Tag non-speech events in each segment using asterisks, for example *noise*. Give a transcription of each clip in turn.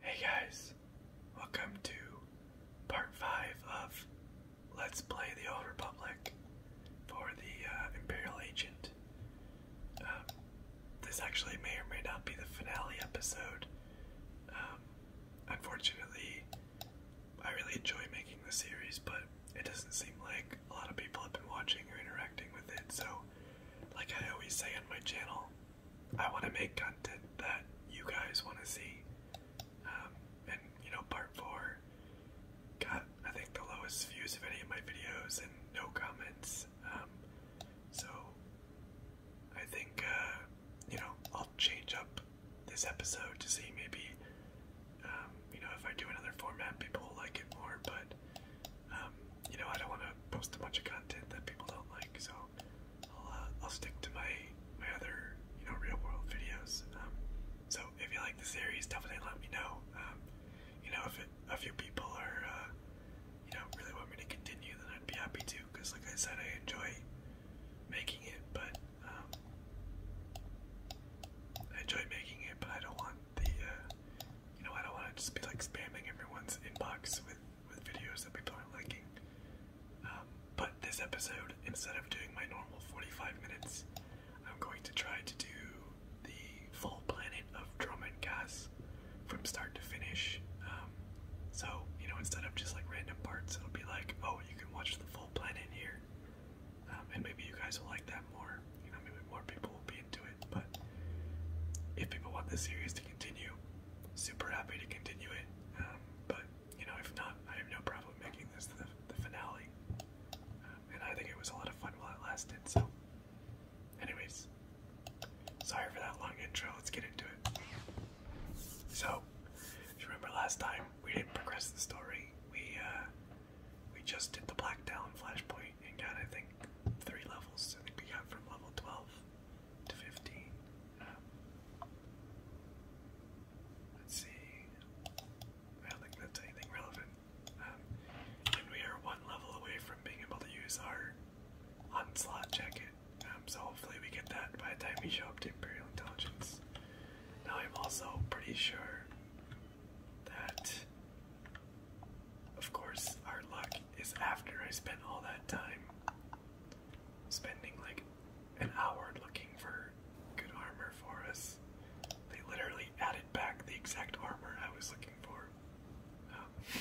Hey guys, welcome to part 5 of Let's Play the Old Republic for the uh, Imperial Agent. Um, this actually may or may not be the finale episode. Um, unfortunately, I really enjoy making the series, but it doesn't seem like a lot of people have been watching or interacting with it, so like I always say on my channel, I want to make content that you guys want to see. Um, and you know, part four got I think the lowest views of any of my videos and no comments. Um, so I think uh, you know I'll change up this episode to see maybe um, you know if I do another format, people will like it more. But um, you know I don't want to post a bunch of content that people don't like, so I'll, uh, I'll stick to my my other you know real world videos. Um, so if you like the series, definitely let me know. Um, you know if it, a few people are uh, you know really want me to continue, then I'd be happy to. Because like I said, I enjoy making it, but um, I enjoy making it, but I don't want the uh, you know I don't want to just be like spamming everyone's inbox with with videos that people aren't liking. Um, but this episode, instead of doing my normal 45 minutes, I'm going to try to do the full planet of Drum and Gas from start to finish. Um, so, you know, instead of just like random parts, it'll be like, oh, you can watch the full planet here. Um, and maybe you guys will like that more. You know, maybe more people will be into it. But if people want this series to continue, super happy to continue it. Um, but you know, if not, I have no problem making this the, finale. Um, and I think it was a lot of fun while it lasted. So, anyways, sorry for that long intro. Let's get into it. So, if you remember last time, we didn't progress the story. We uh, we just did the Black Talon flashpoint and got I think three levels. I think we got from level 12 to 15. Um, let's see. I don't think that's anything relevant. Um, and we are one level away from being able to use our onslaught jacket. Um, so hopefully we get that by the time we show up to Imperial Intelligence. Now I'm also pretty sure that, of course, our luck is after I spent all that time spending like an hour looking for good armor for us. They literally added back the exact armor I was looking for. Um,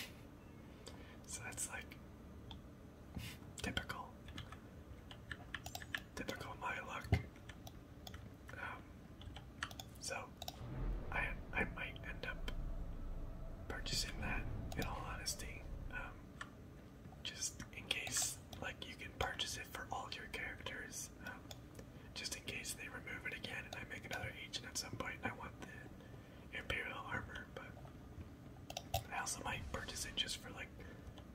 so that's like typical. Typical my luck. Um, so I I might end up purchasing that in all honesty. Um, just in case, like you can purchase it for all your characters. Um, just in case they remove it again and I make another agent at some point. I want the Imperial armor, but I also might purchase it just for like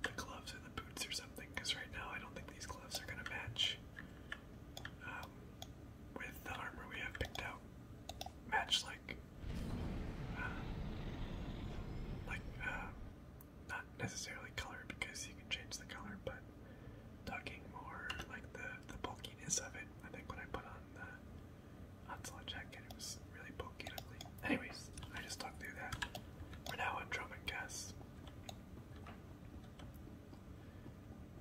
the gloves and the boots or something. Because right now I don't think these gloves are gonna match um, with the armor we have picked out. Match like like, uh, like uh, not necessarily color because you can change the color, but tucking more like the the bulkiness of it. I think when I put on the onslaught jacket, it was really bulky. Ugly. Anyways, I just talked through that. We're now on drum and guess.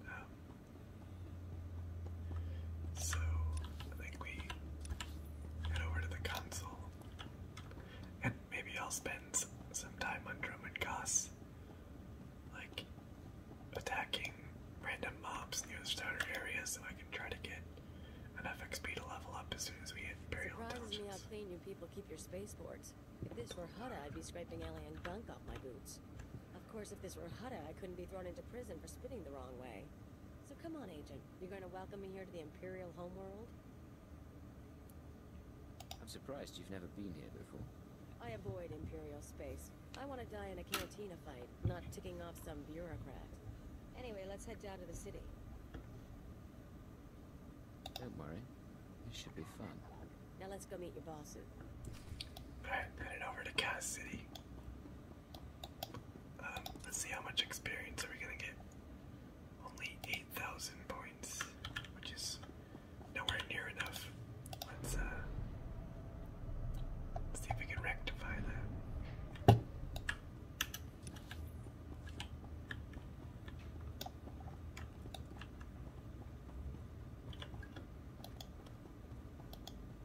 Um, so I think we head over to the console, and maybe I'll spend some time on Drummond Goss, like attacking random mobs near the starter area, so I can try to get enough XP to level up as soon as we hit Imperial Surprises Intelligence. me how clean you people keep your spaceports. If this were Hutta, I'd be scraping alien gunk off my boots. Of course, if this were Hutta, I couldn't be thrown into prison for spitting the wrong way. So come on, Agent. You're going to welcome me here to the Imperial homeworld? I'm surprised you've never been here before. I avoid Imperial space. I want to die in a cantina fight, not ticking off some bureaucrat. Anyway, let's head down to the city. Don't worry. it should be fun. Now let's go meet your boss. Alright, headed over to Cass City. Um, let's see how much experience are we gonna get. Only 8,000 points, which is nowhere near enough. let's uh, see if we can rectify that.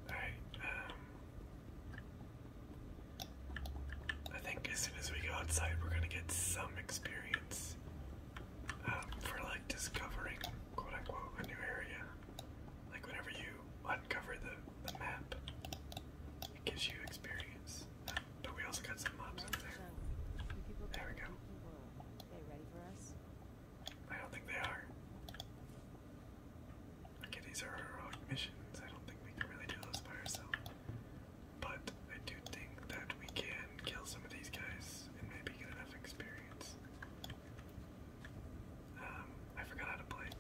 Alright, um, I think as soon as we go outside, we're gonna get some experience um, for like discovering quote unquote a new area. Like, whenever you uncover the, the map, it gives you experience. but we also got some mobs over there. There we go. I don't think they are these are heroic missions. I don't think we can really do those by ourselves. But I do think that we can kill some of these guys and maybe get enough experience. Um, I forgot how to play.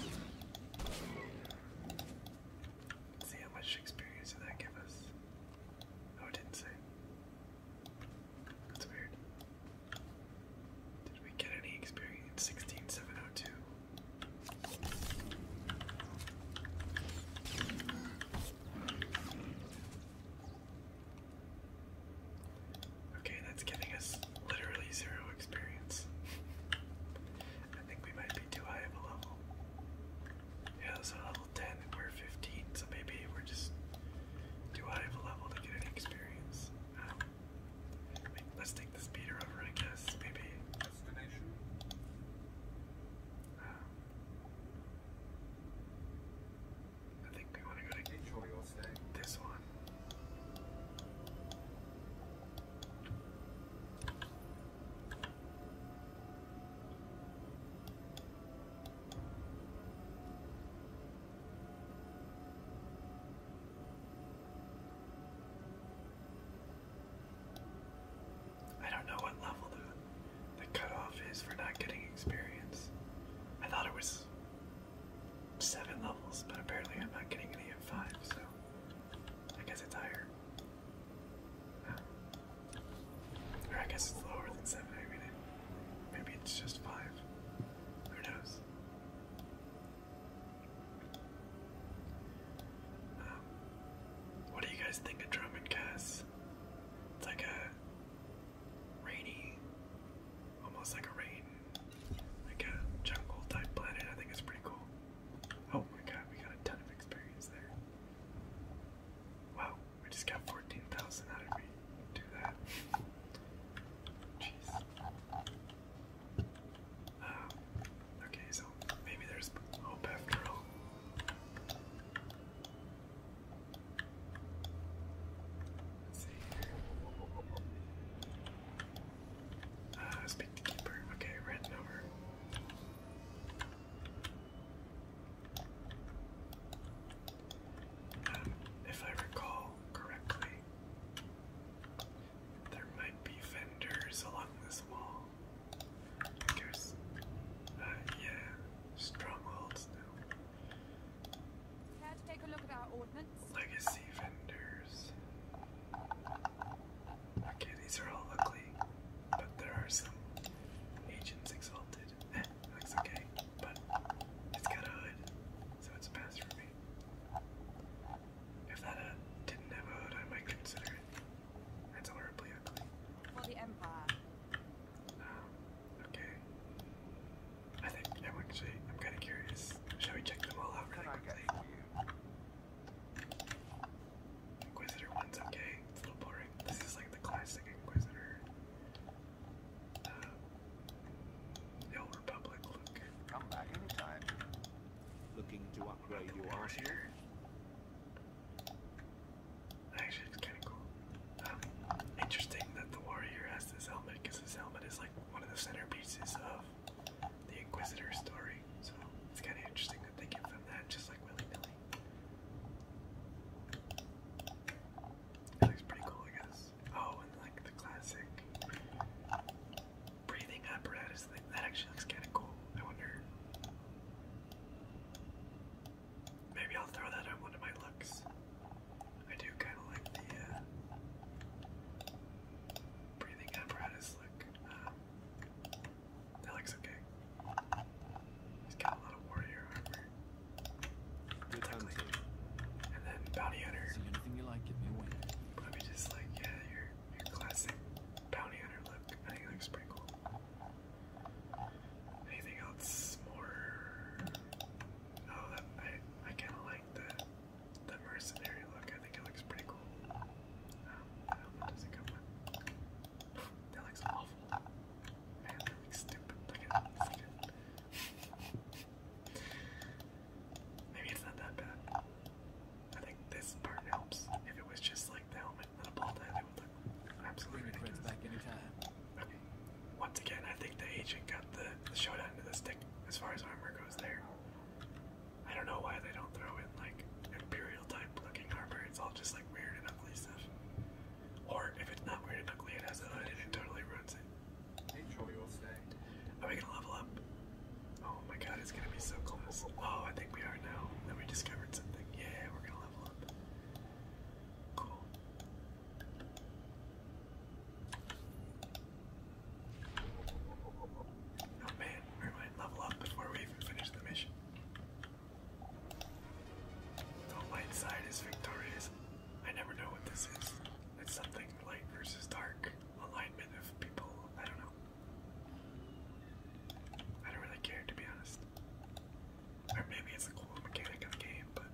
*laughs* see how much experience that give us. Oh, it didn't say. That's weird. Did we get any experience? 16702. Okay, that's giving us literally zero experience. I think we might be too high of a level. Yeah, so level 10 and we're 15, so maybe we're just too high of a level to get any experience. Um, let's take this beater over, I guess. Maybe. Destination. Um, I think we want to go to Enjoy this one. I don't know what level the, the cutoff is for not getting experience. I thought it was seven levels, but apparently I'm not getting any at five, so I guess it's higher. I guess it's lower than seven, maybe it's just five. Who knows? Um, what do you guys think of drum and It's like a rainy, almost like a rain, like a jungle type planet. I think it's pretty cool. Oh my god, we got a ton of experience there. Wow, we just got 14,000 out of me. Do that. Jeez. Um, okay, so maybe there's hope after all. see here. Uh, speak to Keeper. Okay, red over if I recall correctly, there might be vendors along this wall. There's, uh, yeah, strongholds now. Care to take a look at our ordnance? Legacy vendors. Okay, these are all ugly, but there are some Agents Exalted. That's eh, okay, but it's got a hood, so it's a pass for me. If that uh, didn't have a hood, I might consider it. That's horribly ugly. For the Empire. Um, okay. I think I'm actually, I'm kind of curious. Shall we check them all out really quickly? Inquisitor one's okay. It's a little boring. This is like the classic Inquisitor. the uh, Republic Come back anytime. Looking to upgrade your arsenal. Actually, it's kind of cool. Um, interesting that the warrior has this helmet because his helmet is like one of the centerpieces of the Inquisitor story. So it's kind of interesting that they give them that just like willy it looks pretty cool, I guess. Oh, and like the classic breathing apparatus thing. That actually looks kind of cool. I wonder. Maybe I'll throw that on one of my looks. I do kind of like the uh, breathing apparatus look. Um, that looks okay. He's got a lot of warrior armor. Good times, and then bounty hunter. anything you like, give me a win. Probably just like yeah, your your classic bounty hunter look. I think it looks pretty Anything else more? Oh, I I kind of like the the mercenary look. I think it looks pretty cool. Um, I don't know what that looks awful. Man, that looks stupid. Look at Maybe it's not that bad. I think this part helps. If it was just like the helmet and a ball tie, they would look absolutely ridiculous. Back anytime. Okay. Once again, I think the agent got the, the showdown to the stick as far as armor goes there. I don't know why they don't throw in like Imperial real type It's all just like weird and ugly stuff. Or if it's not weird and ugly, it has a hood and it totally ruins it. Are we gonna level up? Oh my god, it's gonna be so close. Oh, I think we are now. Then we discovered something. Yeah, we're gonna level up. Oh, man, we might level up before we even finish the mission. The light side is victorious. I never know what this is. It's something light versus dark. Alignment of people. I don't know. I don't really care to be honest. Or maybe it's a cool mechanic of the game, but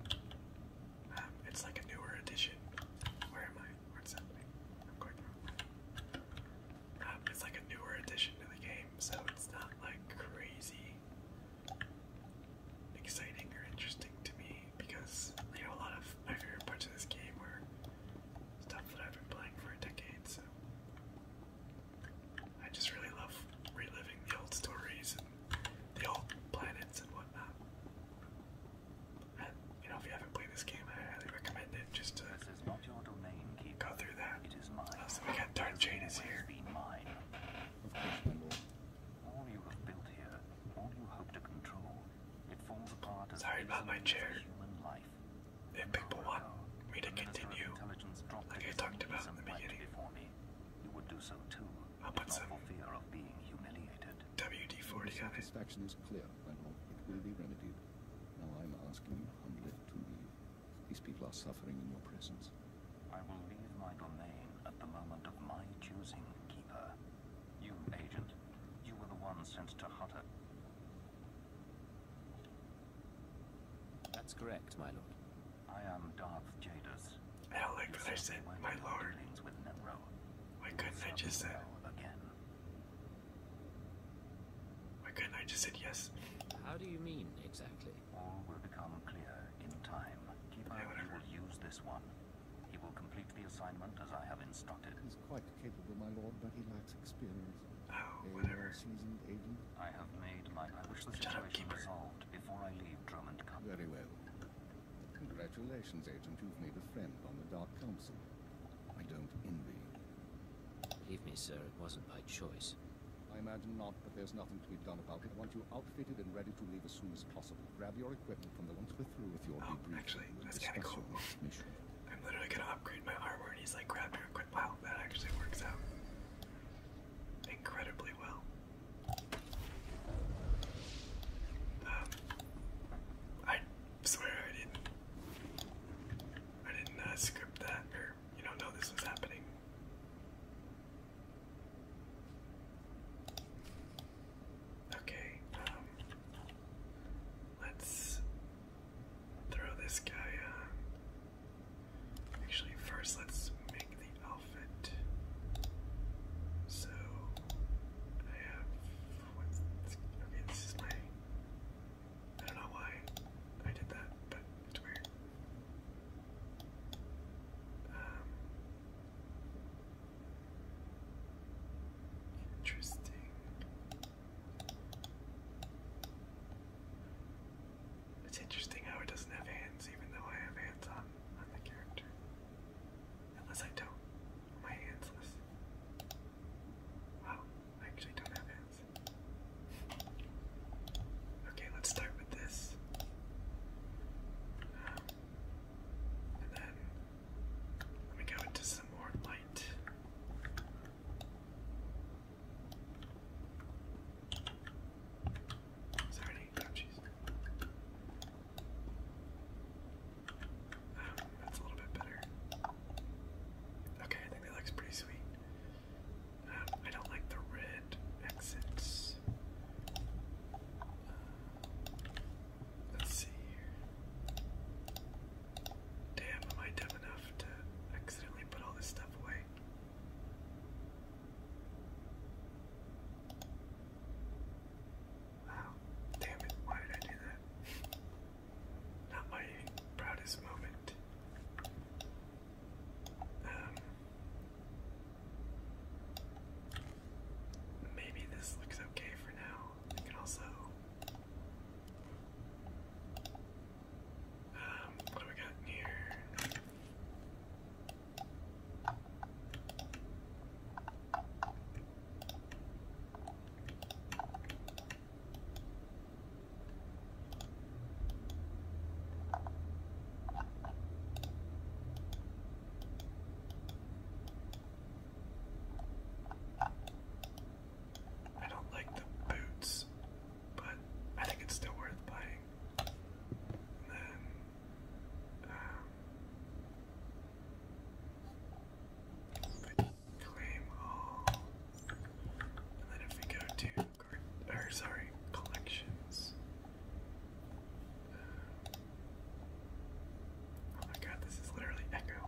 um, it's like a newer edition. Where am I? What's happening? I'm going it's like a newer addition to the game, so it's not like crazy exciting or interesting to me because you know a lot of my favorite parts of this game were stuff that I've been playing for a decade. So I just really love reliving the old stories and the old planets and whatnot. And you know, if you haven't played this game, I highly recommend it just to is not your domain, Go through that. Dark Jane is here. Sorry about my chair. human life. If people me to continue, like I talked about in you would do so too. I'll put some WD-40 Satisfaction is clear, It will be remedied. Now I'm asking Hamlet to leave. These people are suffering in your presence. I will leave my domain at the moment of my choosing, Keeper. You, Agent, you were the one sent to Hutter. That's correct, my lord. I am Darth Jadis. Hell, like I said, my lord. With Nemro. Why couldn't I just said... Again. Why could I just said yes? How do you mean, exactly? All will become clear in time. Keeper yeah, will use this one. He will complete the assignment as I have instructed. He's quite capable, my lord, but he lacks experience. Oh, a whatever. Seasoned agent. I have made my... I wish the situation up, resolved before I leave Drummond Company. Very well. Congratulations, agent. You've made a friend on the Dark Council. I don't envy you. Believe me, sir, it wasn't my choice. I imagine not, but there's nothing to be done about it. I want you outfitted and ready to leave as soon as possible. Grab your equipment from the ones we're through with your oh, Actually, that's kind of cool. I'm literally gonna upgrade my armor, and he's like, grab your equipment. Wow, that actually works out incredibly well. Um, I swear I didn't, I didn't uh, script that, or you don't know this was happening. Okay, um, let's throw this guy on. Uh, actually, first let's make the outfit. So, I have, okay, this is my, I don't know why I did that, but it's weird interesting. It's interesting how it doesn't have hands, even though I have hands on on the character. Unless I don't. My handsless. Wow, I actually don't have hands. Okay, let's start with this. and then let go into some more light. Sorry, oh jeez. Um, that's a little bit better. Okay, I think that looks pretty sweet. I don't like the red exits. Uh, let's see here. Damn, am I dumb enough to accidentally put all this stuff away? Wow, damn it, why did I do that? *laughs* Not my proudest moment. Um, maybe this looks okay for now. I can also. Um, what do we got here? I don't like the boots, but I think it's still worth playing. then, um, claim all. And then if we go to card, sorry, collections. oh my god, this is literally Echo.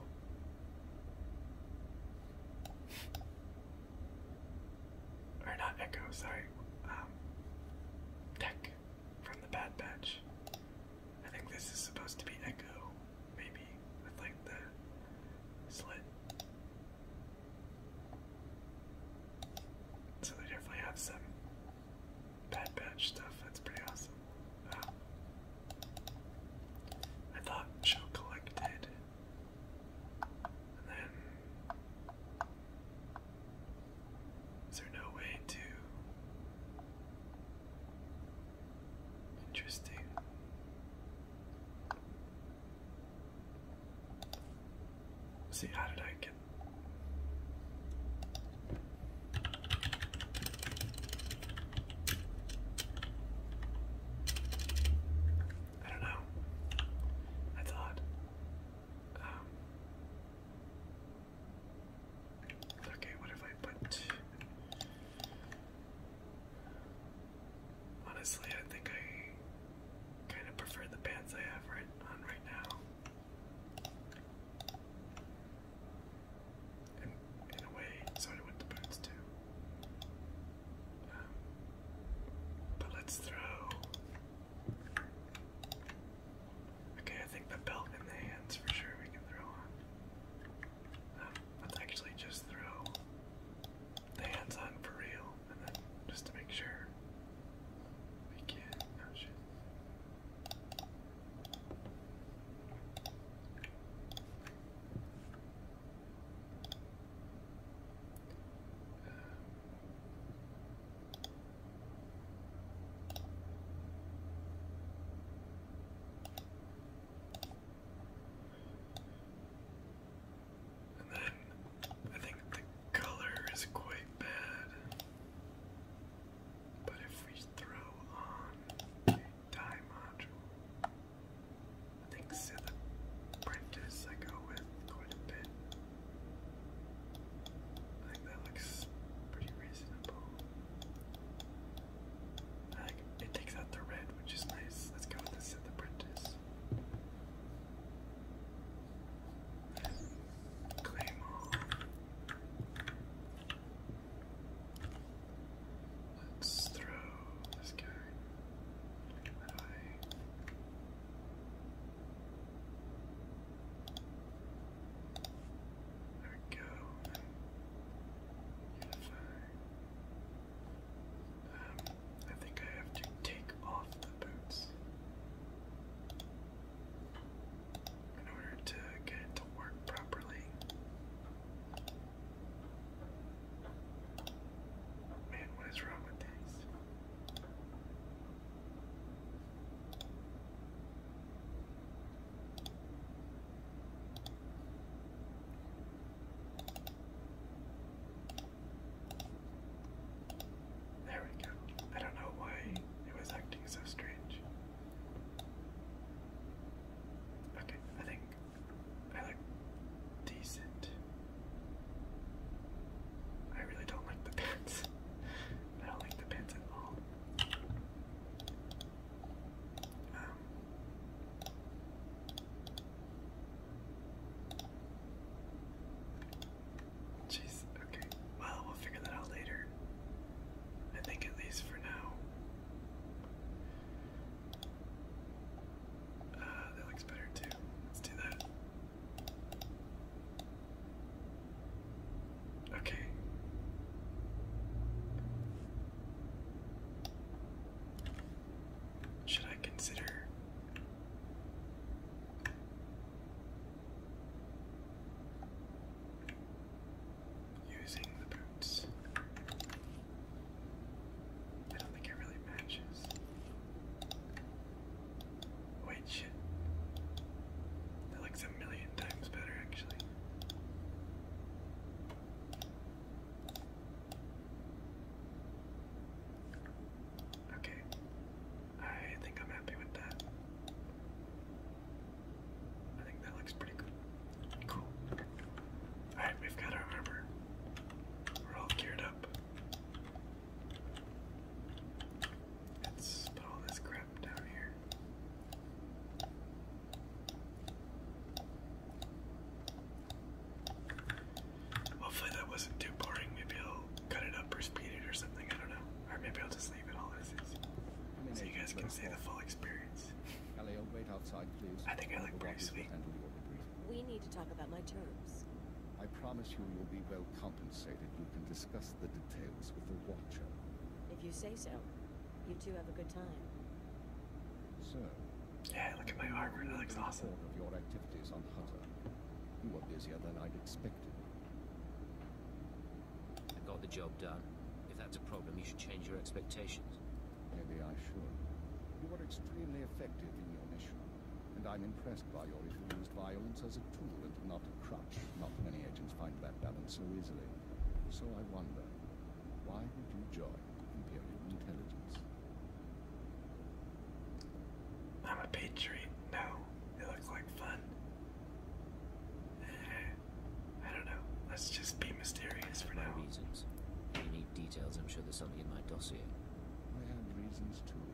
or not Echo, sorry. Um, Tech from the Bad Batch. I think this is supposed to be Echo, maybe, with like the slit. So they definitely have some bad batch stuff. That's pretty awesome. I thought show collected, then is there no way to? Interesting. Let's see, how did I get. I don't know. That's odd. Um, okay, what if I put. Honestly, I think I kind of prefer the pants I have right on right now. And in a way, so the boots too. Um, but let's throw. Okay, I think the belt and the hands for sure we can throw on. Um, let's actually just throw hands on for real, and then just to make sure we can. Oh, um, and then I think the color is quite bad. But if we throw on a dye module, I think see the I go with quite a bit. I think that looks pretty reasonable. like, it takes out the red, which is nice. Let's go with the Sith Apprentice. Claymore. Let's throw this guy. there we go. Unify. Um, I think I have to take off the boots in order to get it to work properly. Man, what is wrong with these? There we go. I don't know why it was acting so strange. Okay, I think I look decent. I really don't like the pants. *laughs* I don't like the pants at all. Um, Jeez, okay. Well, we'll figure that out later. I think at least for now. Uh, that looks better too. Let's do that. Okay. Should I consider Using the boots. I don't think it really matches. Wait, That looks a million times better, actually. Okay. I think I'm happy with that. I think that looks pretty good. Cool. Alright, we've got our armor. We're all geared up. Let's put all this crap down here. Hopefully that wasn't too boring. Maybe I'll cut it up or speed it or something. I don't know. Or maybe I'll just leave it all as is, so you guys can see the full experience. Elliot, wait outside, please. I think I look pretty sweet. We need to talk about my terms. I promise you you'll be well compensated. You can discuss the details with the Watcher. If you say so, you two have a good time. So. Yeah, look at my armor. That looks awesome. Of your activities on Hunt you are busier than I'd expected. I got the job done. If that's a problem, you should change your expectations. Maybe I should. You were extremely effective in your mission, and I'm impressed by your used violence as a tool and not a crutch. Not many agents find that balance so easily. So I wonder, why did you join Imperial Intelligence? I'm a patriot. No, it looks like fun. Eh, I don't know. Let's just be mysterious for now. Reasons. you need details, I'm sure there's something in my dossier. I had reasons too.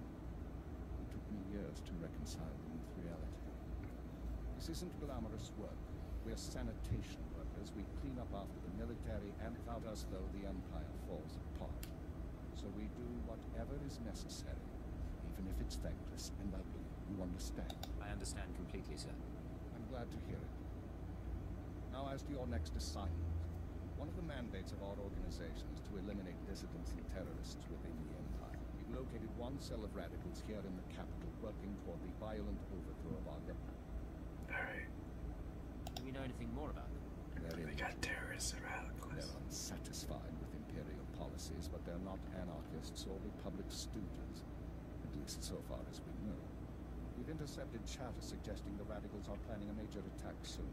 It took me years to reconcile them with reality. This isn't glamorous work. We're sanitation workers. We clean up after the military, and without us, though, the Empire falls apart. So we do whatever is necessary, even if it's thankless and ugly. You understand? I understand completely, sir. I'm glad to hear it. Now as to your next assignment. One of the mandates of our organization is to eliminate dissidents and terrorists within the Empire. We've located one cell of radicals here in the capital working toward the violent overthrow of our government. Alright. Do we know anything more about them? They're they got terrorists and radicals. They're unsatisfied with imperial policies, but they're not anarchists or republic students, at least so far as we know. We've intercepted chatter suggesting the radicals are planning a major attack soon.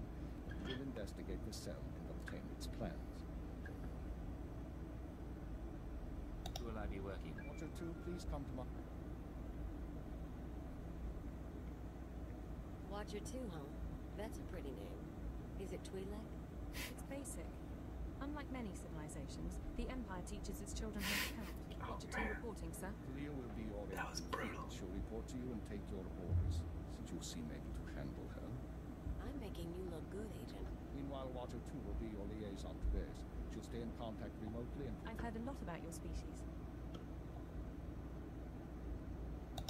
We'll investigate the cell and obtain its plans. Who will I be working? Watcher 2, please come to my... Watcher 2, huh? That's a pretty name. Is it Twi'lek? *laughs* It's basic. Unlike many civilizations, the Empire teaches its children how to count. Watcher *laughs* oh, 2 reporting, sir. Cleo will be your That was brutal. She'll report to you and take your orders, since you seem able to handle her. I'm making you look good, Agent. Meanwhile, Watcher 2 will be your liaison to theirs. She'll stay in contact remotely and... I've heard a lot about your species.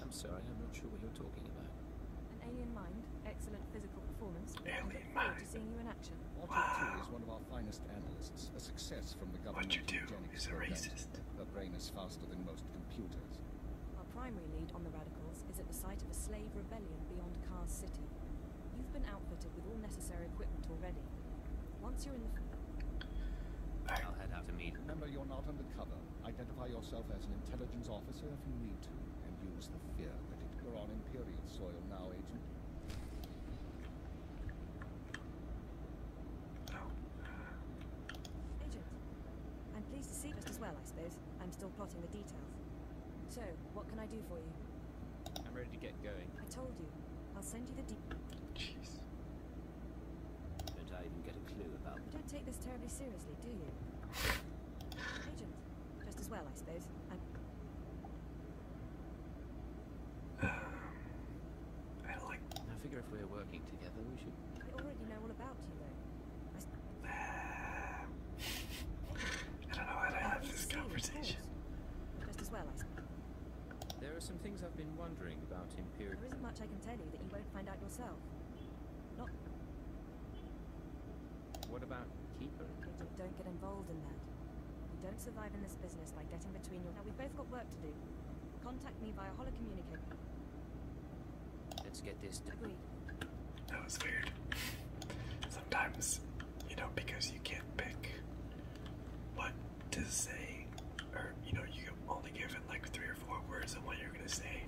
I'm sorry, I'm not sure what you're talking about. An alien mind, excellent physical performance. Alien mind. To seeing you in action. Object wow. is one of our finest analysts, a success from the government. What you do is a racist. Her brain is faster than most computers. Our primary lead on the radicals is at the site of a slave rebellion beyond Kars City. You've been outfitted with all necessary equipment already. Once you're in the... I'll head out to meet. Remember, you're not undercover. Identify yourself as an intelligence officer if you need to, and use the fear that it, you're on Imperial soil now, Agent. Agent, I'm pleased to see just as well, I suppose. I'm still plotting the details. So, what can I do for you? I'm ready to get going. I told you. I'll send you the deep. Jeez. Don't I even get a clue about don't take this terribly seriously, do you? Agent, just as well, I suppose. I'm... Um, *sighs* like... I figure if we're working together, we should... I already know all about you, though. I, *sighs* don't know how to have this conversation. Just as well, There are some things I've been wondering about Imperial. There isn't much I can tell you that you won't find out yourself. What about Keeper? Bridget, don't get involved in that. don't survive in this business by getting between you. Now we've both got work to do. Contact me via holocommunicator. Let's get this done. Agreed. That was weird. Sometimes, you know, because you can't pick what to say, or you know, you only given like three or four words of what you're gonna say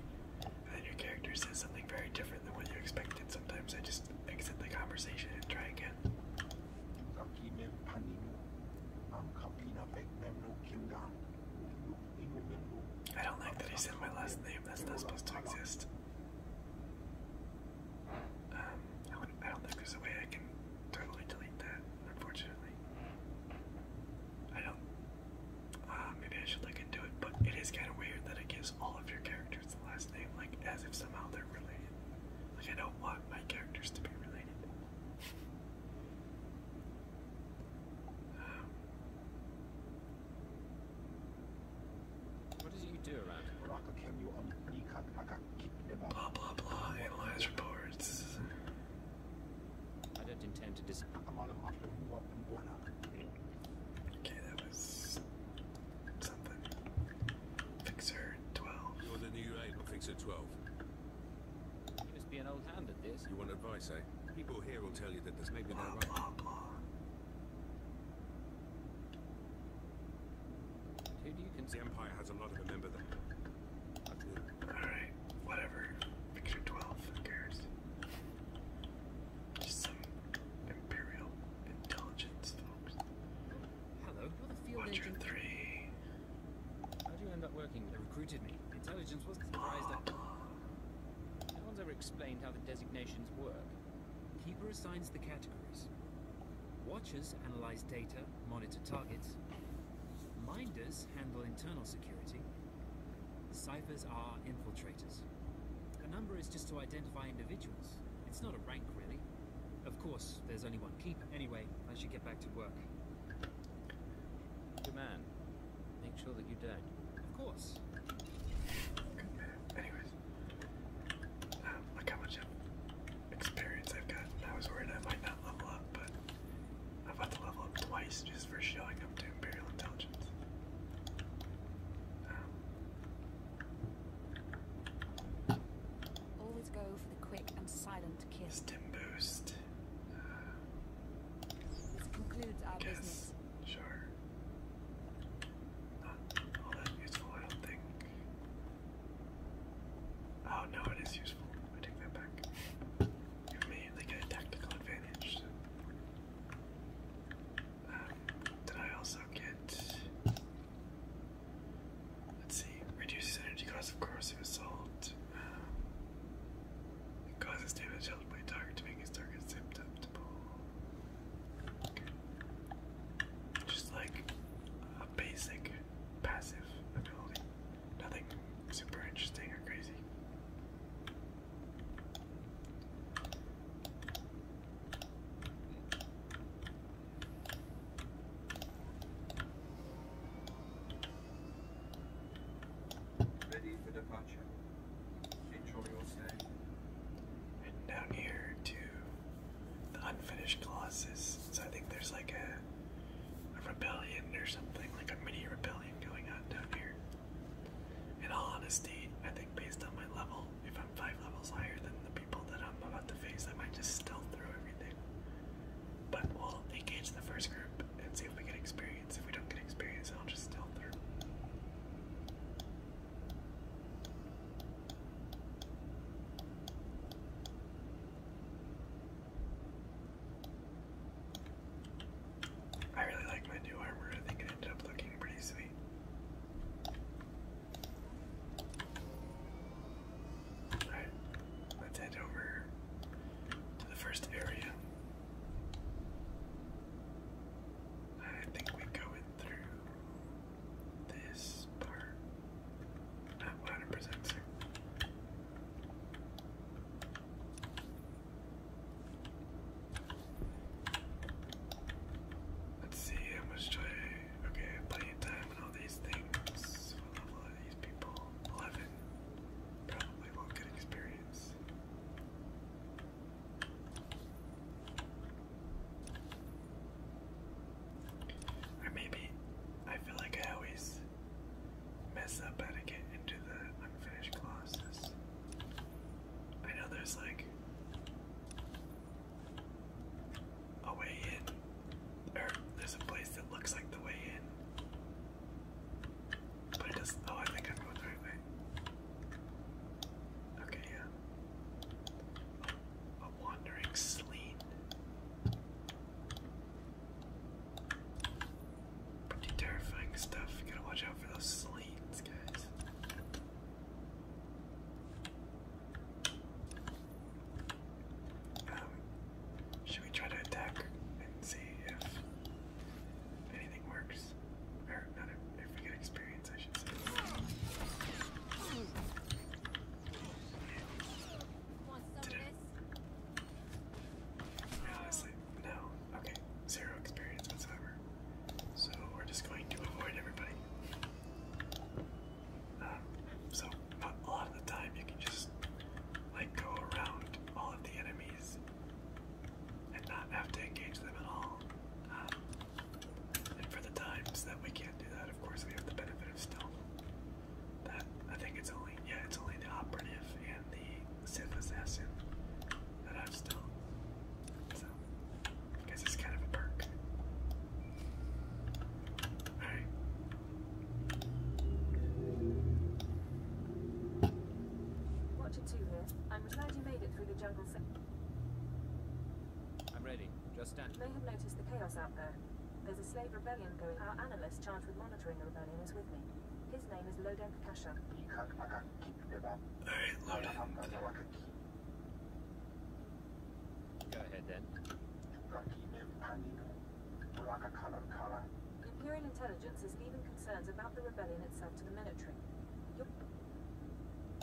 and your character says something very different than what you expected, sometimes I just exit the conversation and try again. I don't like that he said my last name. That's not supposed to exist. Um, I, don't think there's a way I can totally delete that, unfortunately. I don't. Uh, maybe I should look into it, but it is kind of weird that it gives all of your characters the last name, like as if somehow they're related. Like I don't want my characters to be related. Blah blah blah. Analyze reports. I don't intend to dis. Okay, that was something. Fixer 12. You're the new aid on Fixer 12. You must be an old hand at this. You want advice, eh? People here will tell you that there's maybe blah, no right. The Empire has a lot of a Alright, whatever. Picture 12, who cares? Just some Imperial intelligence folks. Hello, you're the field Watcher three. How do you end up working? They recruited me. Intelligence was not surprised at No one's ever explained how the designations work. Keeper assigns the categories. Watchers analyze data, monitor targets. Minders handle internal security. Ciphers are infiltrators. A number is just to identify individuals. It's not a rank, really. Of course, there's only one keeper. Anyway, I should get back to work. Good man. Make sure that you dead. Of course. *coughs* Anyways. Um, look how much experience I've got. I was worried I might not level up, but i have about to level up twice just for showing up to Imperial Intelligence. Um, Always go for the quick and silent kiss. Stim boost. Uh, Sure. Not all that useful, I don't think. Oh no, it is useful. I take that back immediately get a tactical advantage. Um, did I also get. Let's see, reduces energy cost of corrosive assault. Um, causes damage dealt by target to make his target susceptible. Just like a basic passive ability. Nothing super interesting or crazy. Ready for departure. Enjoy your stay. And down here to the unfinished Colossus. So I think there's like a rebellion or something, like a mini rebellion going on down here. In all honesty, I think based on my level, if I'm five levels higher than the people that I'm about to face, I might just stealth through everything. But we'll engage the first group and see if we get experience. If we don't get experience, I'll just stealth through. I really like my new armor. I think it ended up looking pretty sweet. Alright, let's head over to the first area. I think we go in through this part. Not 100% certain. Let's see how much do I. Okay, plenty time and all these things. What level are these people? 11. Probably won't get experience. Or maybe I feel like I always mess up how to get into the unfinished classes. I know there's like a way in, or there's a place that looks like the way in, but it doesn't. Oh, I think I'm going the right way. Okay, yeah. A, wandering sleen. Pretty terrifying stuff. You gotta watch out for those slings, guys. Um, should we try to attack and see if anything works? Or not if, we get experience, I should say. no, Okay, zero experience whatsoever. So we're just going to avoid everybody. Um, so a lot of the time you can just like go around all of the enemies and not have to engage them at all. Um, and for the times that we can't do that, of course we have the benefit of stealth. That I think it's only yeah, it's only the operative and the Assassin that I'm still. So, I guess it's kind of a perk. Alright. Watch it too here. I'm glad you made it through the jungle. I'm ready. Just stand. You may have noticed the chaos out there. There's a slave rebellion going. on. Our analyst charged with monitoring the rebellion is with me. His name is Loden Kasha. Alright, load Go ahead then. Imperial intelligence is leaving concerns about the rebellion itself to the military.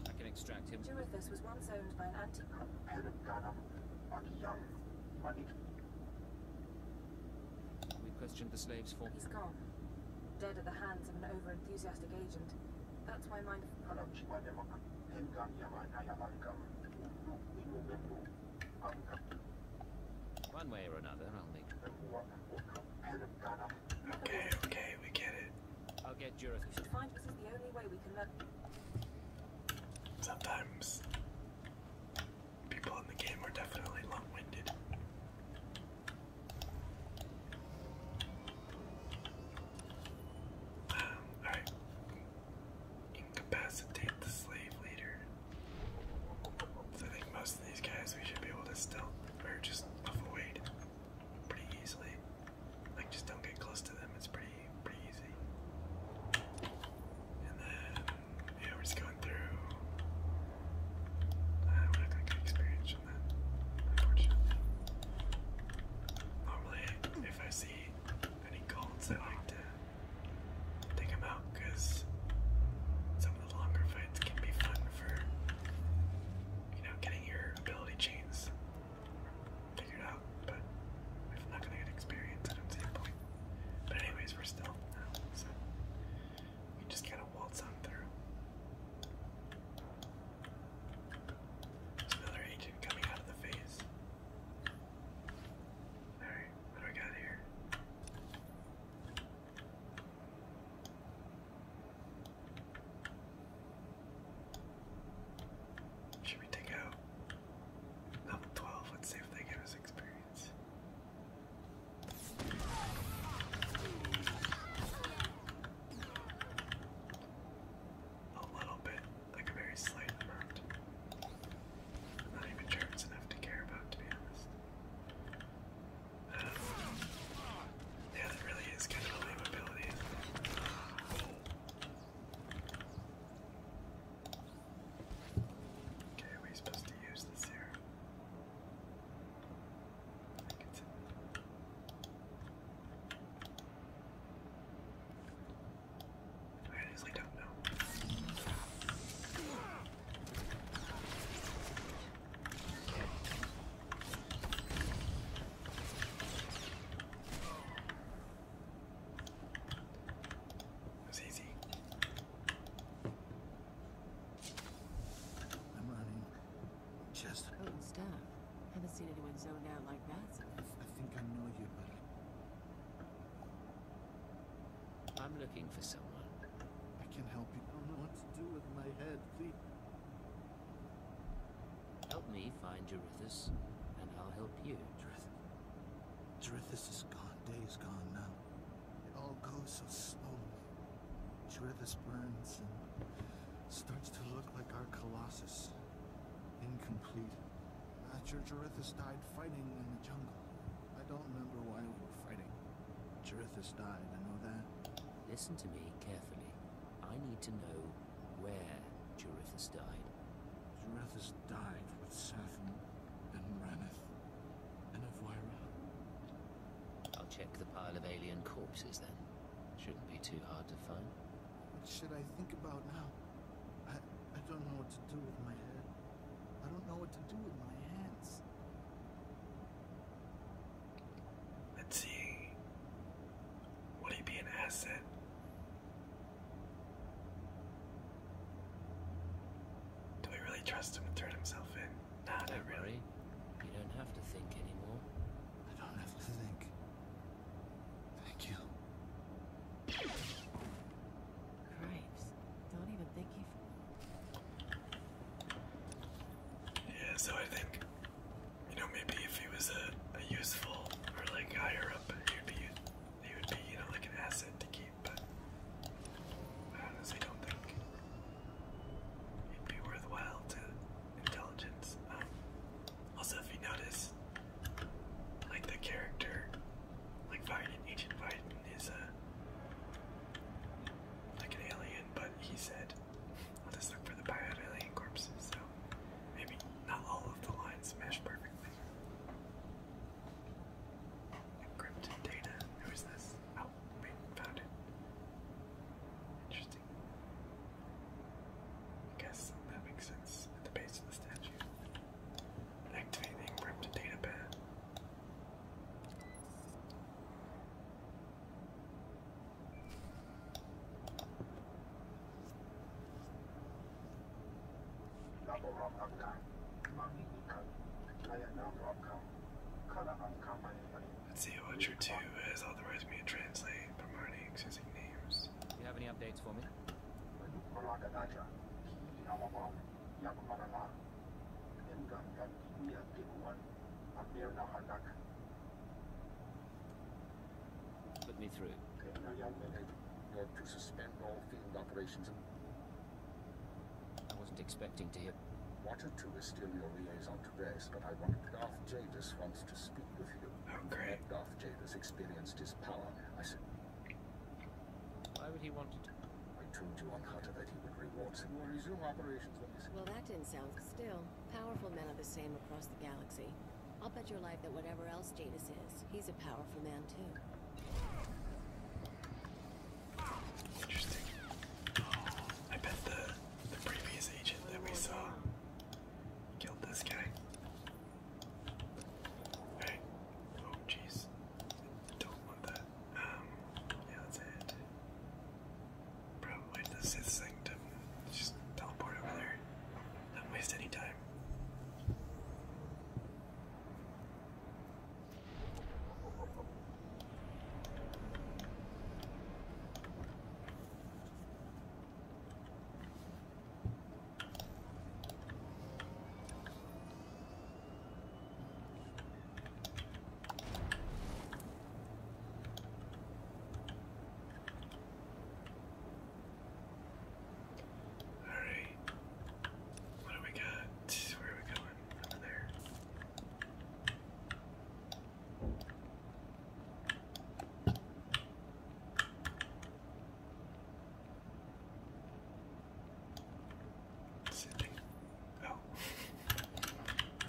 I can extract him. Jurithus was once owned by an anti... We questioned the slaves for... He's gone. Dead at the hands of an overenthusiastic agent. That's why mine... One way or another, I'll make... Okay, okay, we get it. I'll get Jurith. We should find this is the only way we can learn... Sometimes people in the game are definitely long-winded. Alright. Incapacitate the slave leader. I think most of these guys we should be able to still or just avoid pretty easily. Like just don't get close to them, it's pretty pretty easy. And then yeah, we're just went through uh, what I got experience from that, Normally, if I see any golds, I like to take them out because some of the longer fights can be fun for, you know, getting your ability chains figured out. But I'm not gonna get experience, I do point. But anyways, we're still um, so we just gotta another agent coming out of the phase. Alright, what do we got here? Should we take out level 12? Let's see if they give us experience. A little bit, like a very slight amount. not even sure it's enough to care about, to be honest. Um, yeah, that really is kind of a lame ability, Okay, are we supposed to use this here? I honestly don't know. It was easy. I'm running. Chester. Oh, Steph. Haven't seen anyone zoned out like that I, think I know you, but... I'm looking for someone. I can help you. I don't know what to do with my head. Please. Help me find Jarithus, and I'll help you. Jarithus... is gone. Day is gone now. It all goes so slowly. Judith burns and starts to look like our Colossus. Incomplete. Uh, Jurithus died fighting in the jungle. I don't remember why we were fighting. Jurithus died, I know that. Listen to me carefully. I need to know where Jurithus died. Jurithus died with Sappho and Raneth and Elvira. I'll check the pile of alien corpses then. Shouldn't be too hard to find. What should I think about now? I, I don't know what to do with my head. I don't know what to do with my hands. Let's see. Would he be an asset? Do we really trust him to turn himself in? Nah, don't really. Worry. You don't have to think anymore. I don't have to think. Thank you. Crimes. Don't even think you. Yeah, so I think, you know, maybe if he was a, a useful or like higher up, he would be, he would be, you know, like an asset to keep. But I honestly don't think it'd be worthwhile to intelligence. Um, also, if you notice, like the character, like Biden, Agent Biden is a uh, like an alien, but he said, "I'll just look for the bio of alien corpses." So maybe not all of the lines mesh perfectly. Encrypted data. Who is this? Oh, found it. Interesting. I guess that makes sense at the base of the statue. Activate the encrypted data pad. Let's see, Witcher 2 has authorized me to translate promoting existing names. Do you have any updates for me? Put me through. I wasn't expecting to hear here. Wanted to risk your liaison to base, but I wanted Darth Jadis wants to speak with you. Oh, great. Darth Jadis experienced his power. I said. Why would he want to? I told you on Hunter that he would reward him or resume operations when he's. Well, that didn't sound. Still, powerful men are the same across the galaxy. I'll bet your life that whatever else Jadis is, he's a powerful man too. Interesting. Oh, I bet the the previous agent that we saw killed this guy. Alright. Oh jeez. Don't want that. Um yeah, that's it. Probably the Sith Sanctum. Just teleport over there. Don't waste any time. All right. What do we got? Where are we going? Over there. Sitting. Oh,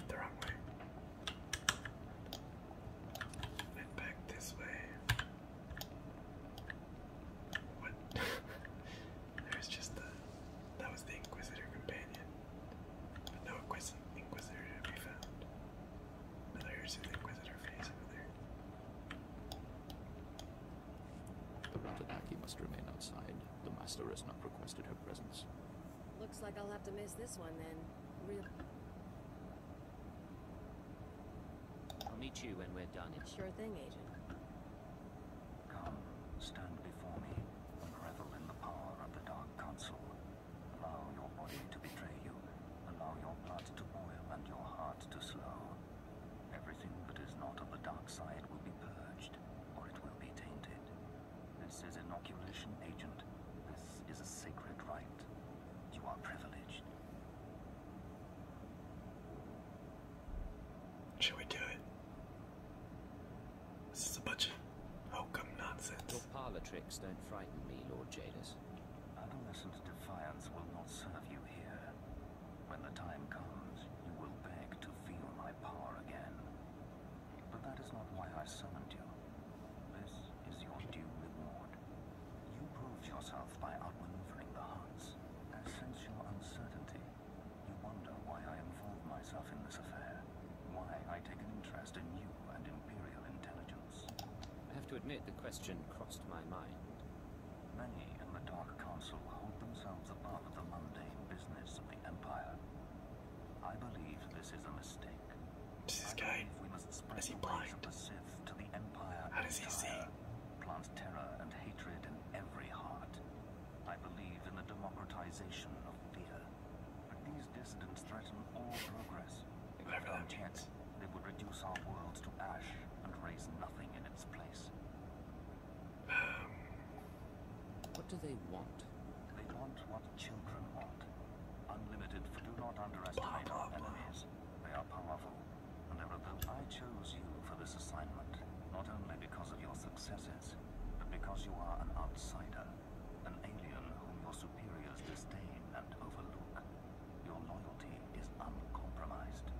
the wrong way. Went back this way. What? *laughs* There's just the. That was the Inquisitor companion no Inquisitor to be found. Now there's an Inquisitor face over there. The Ratadaki must remain outside. The Master has not requested her presence. Looks like I'll have to miss this one then. Real. I'll meet you when we're done. Sure thing, Agent. stand before me and revel in the power of the dark. Council. Allow your body to betray you. Allow your blood to boil and your heart to slow. Everything that is not of the dark side will be purged, or it will be tainted. This is inoculation, Agent. This is a sacred rite. You are privileged. Should we do it? This is a bunch of nonsense. Your parlor tricks don't frighten me, Lord Jadis. Adolescent defiance will not serve you here. When the time comes, you will beg to feel my power again. But that is not why I summoned you. This is your due reward. You proved yourself by outmaneuvering the Huns. and since your uncertainty. You wonder why I involved myself in this affair why I take an interest in you and Imperial intelligence. I have to admit the question crossed my mind. Many in the Dark Council hold themselves above the mundane business of the Empire. I believe this is a mistake. This guy, we must spread The of the Sith to the Empire How does he see? Plants terror and hatred in every heart. I believe in the democratization of fear. But the dissidents threaten all progress. If we don't chance, they would reduce our worlds to ash and raise nothing in its place. Um, what do they want? They want what children want. Unlimited, do not underestimate our enemies. They are powerful, and I chose you for this assignment, not only because of your successes, but because you are an outsider. An alien whom your superiors disdain and overlook. Your loyalty is uncompromised.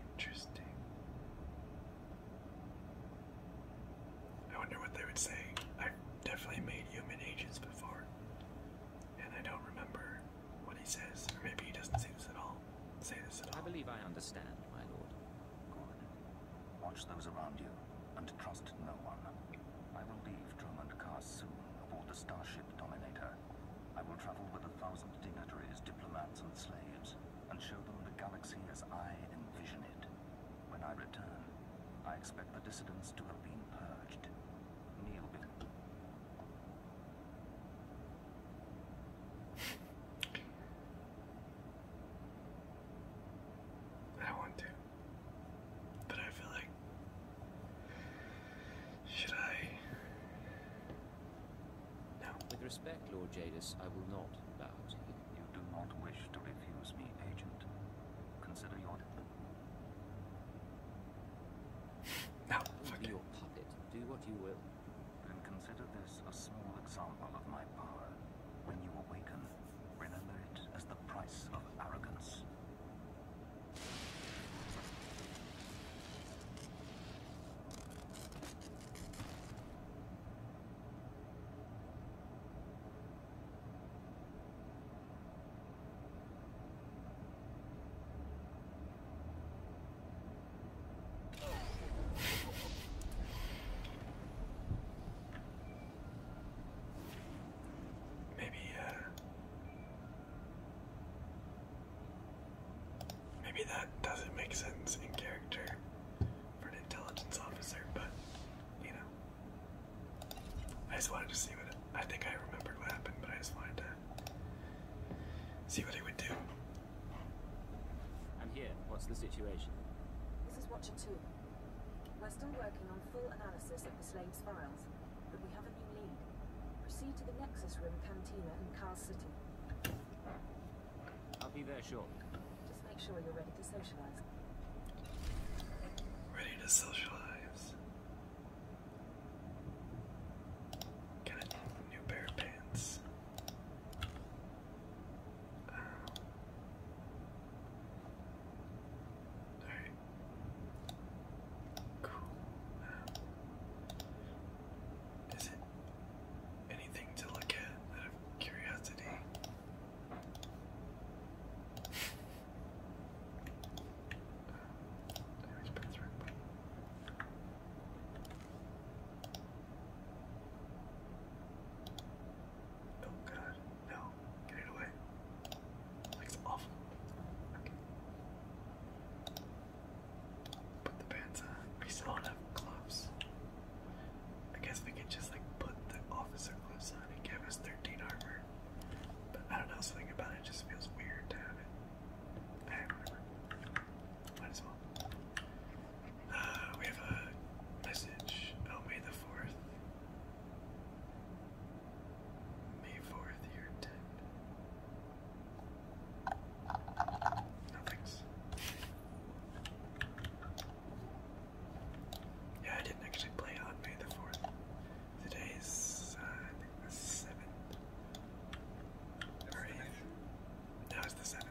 Interesting. I wonder what they would say. I've definitely made human agents before, and I don't remember what he says, or maybe he doesn't say this at all. Say this at all. I believe I understand, my lord. Watch those around you, and trust no one. I will leave Drummond Car soon, aboard the Starship Dominator. I will travel with a thousand dignitaries, diplomats, and slaves, and show them the galaxy as I envision it. When I return, I expect the dissidents to have been purged. Kneel *laughs* I want to. But I feel like. Should I? No. With respect, Lord Jadis, I will not bow you. do not wish to refuse me, Agent. Consider your. *laughs* no, fuck you. Your puppet. Do what you will. and consider this a small example of my power. When you awaken, remember it as the price of arrogance. Maybe, uh, maybe that doesn't make sense in character for an intelligence officer, but you know, I just wanted to see what I think I remembered what happened, but I just wanted to see what he would do. I'm here, what's the situation? This is Watcher 2. We're still working on full analysis of the slave's files, but we have a new lead. Proceed to the Nexus Room Cantina in Carl City. I'll be there shortly. Just make sure you're ready to socialize. Ready to socialize. Got new pair pants. Uh, Alright. Cool. is it anything to look at out of curiosity? Oh god, no. Get it away. Looks awful. Okay. Put the pants on. We still don't have gloves. I guess we can just like put the officer gloves on and give us 13 armor. But I don't know, something about it just feels weird to have it. I Might as well. Uh, we have a message. Oh, May the 4th. May 4th, you're dead. No Yeah, I didn't actually play on May the 4th. Today's, uh, the 7th. Or 8th. it's the 7th.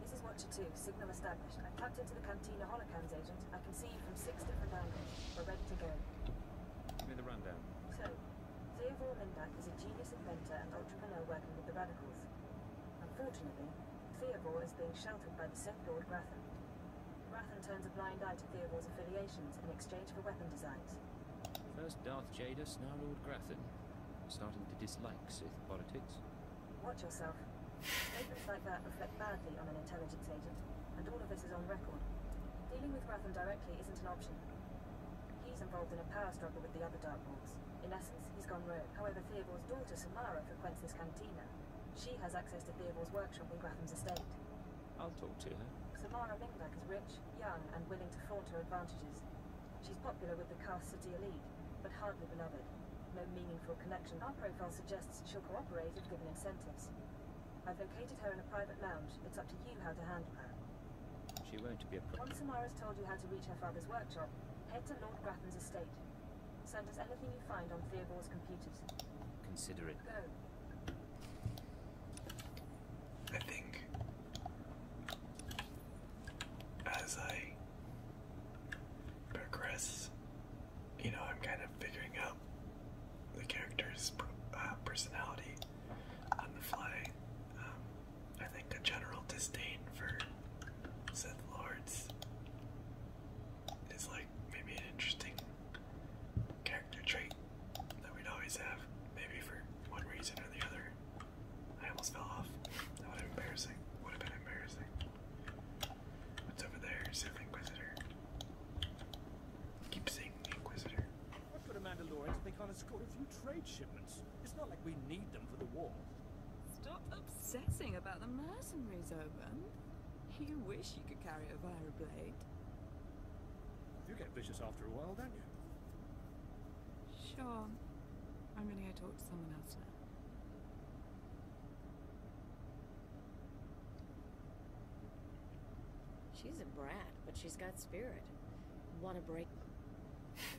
This is Two, signal established. I'm tapped into the Cantina holocams agent. I can see you from six different angles. We're ready to go. Give me the rundown. So, Theodore Lindak is a genius inventor and entrepreneur working with the radicals. Unfortunately, Theodore is being sheltered by the Sith Lord Grathan. Grathan turns a blind eye to Theodore's affiliations in exchange for weapon designs. First Darth Jadis, now Lord Grathan. Starting to dislike Sith politics. Watch yourself. Statements like that reflect badly on an intelligence agent, and all of this is on record. Dealing with Grathan directly isn't an option. He's involved in a power struggle with the other Dark In essence, he's gone rogue. However, Theobal's daughter, Samara, frequents this cantina. She has access to Theobal's workshop on Grafham's estate. I'll talk to her. Samara Minglack is rich, young, and willing to flaunt her advantages. She's popular with the Cast City elite, but hardly beloved. No meaningful connection. Our profile suggests she'll cooperate if given incentives. I've located her in a private lounge. It's up to you how to handle her. She won't be a problem. Once Samara's told you how to reach her father's workshop, head to Lord Grattan's estate. Send us anything you find on Theodore's computers. Consider it. Go. I think as I progress, you know, I'm kind of figuring out the character's uh, personality on the fly. Um, I think a general disdain for Sith Lords is like maybe an interesting character trait that we'd always have, maybe for one reason or the other. I almost fell off. That would have been embarrassing. Would have been embarrassing. What's over there? the Inquisitor. Keep saying Inquisitor. What for the Mandalorians, they can't escort a few trade shipments. It's not like we need them for the war. Stop obsessing about the mercenaries, Oban. You wish you could carry a Vira blade. You get vicious after a while, don't you? Sure. I'm gonna go talk to someone else now. She's a brat, but she's got spirit. Want to break. *sighs*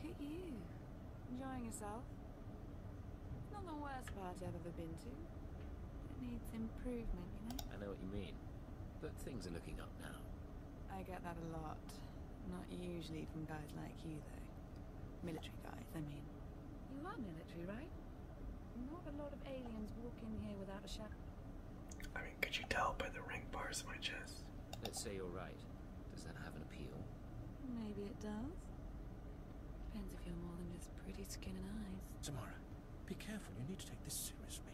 Look at you. Enjoying yourself. not the worst party I've ever been to. It needs improvement, you know? I know what you mean. But things are looking up now. I get that a lot. Not usually from guys like you, though. Military guys, I mean. You are military, right? Not a lot of aliens walk in here without a shadow. I mean, could you tell by the ring bars on my chest? Let's say you're right. Does that have an appeal? Maybe it does. Depends if you're more than just pretty skin and eyes. Tamara, be careful. You need to take this seriously.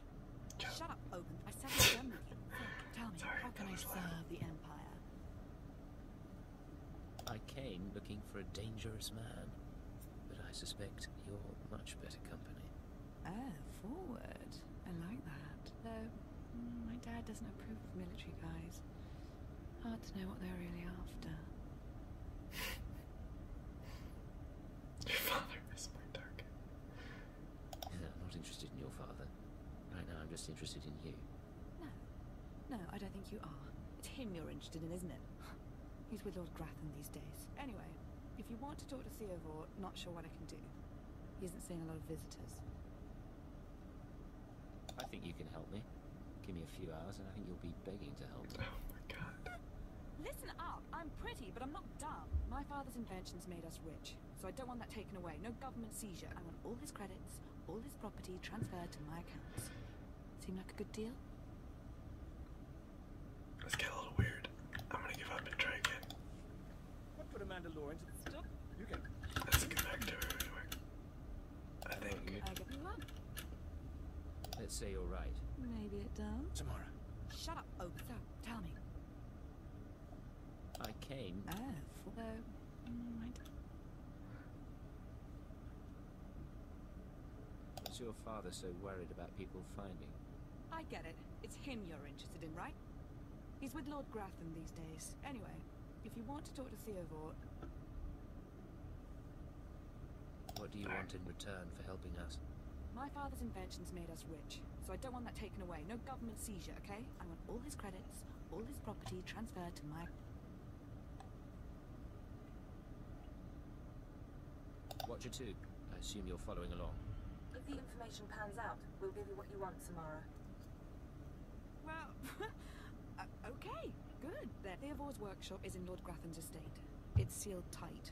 Shut up, Open. I said I'm done with you. *laughs* tell me, how can I serve the Empire? I came looking for a dangerous man, but I suspect you're much better company forward. I like that. Though, mm, my dad doesn't approve of military guys. Hard to know what they're really after. *laughs* your father is my target. Yeah, I'm not interested in your father. Right now, I'm just interested in you. No. No, I don't think you are. It's him you're interested in, isn't it? *laughs* He's with Lord Grathen these days. Anyway, if you want to talk to Theovore, not sure what I can do. He isn't seeing a lot of visitors. I think you can help me. Give me a few hours and I think you'll be begging to help. Oh my god. Listen up. I'm pretty, but I'm not dumb. My father's inventions made us rich, so I don't want that taken away. No government seizure. I want all his credits, all his property transferred to my accounts. Seem like a good deal? Let's a little weird. I'm gonna give up and try again. What put a Mandalorian to the stop? You can. Let's get back I think. I get Let's say you're right. Maybe it does. Tomorrow. Shut up, Oh, So, tell me. I came. Oh, for... What's your father so worried about people finding? I get it. It's him you're interested in, right? He's with Lord Grathen these days. Anyway, if you want to talk to Theovort... What do you want in return for helping us? My father's inventions made us rich, so I don't want that taken away. No government seizure, okay? I want all his credits, all his property transferred to my... Watch Watcher 2, I assume you're following along. If the information pans out, we'll give you what you want, Samara. Well, *laughs* uh, okay, good. Then. Theovore's workshop is in Lord Graffin's estate. It's sealed tight.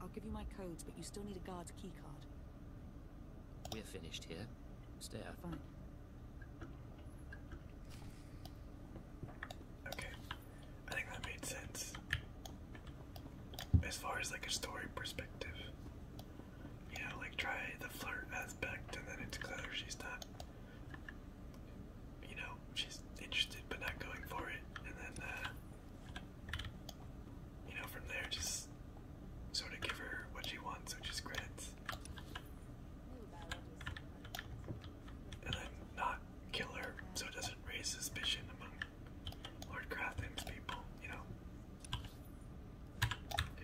I'll give you my codes, but you still need a guard's keycard. We're finished here. Stay out. Fine. Okay. I think that made sense. As far as like a story perspective. You know, like try the flirt aspect and then it's clear she's not you know, she's interested but not going for it. And then uh you know, from there just sort of give her what she wants, which is credits. And then not kill her so it doesn't raise suspicion among Lord Crafting's people, you know.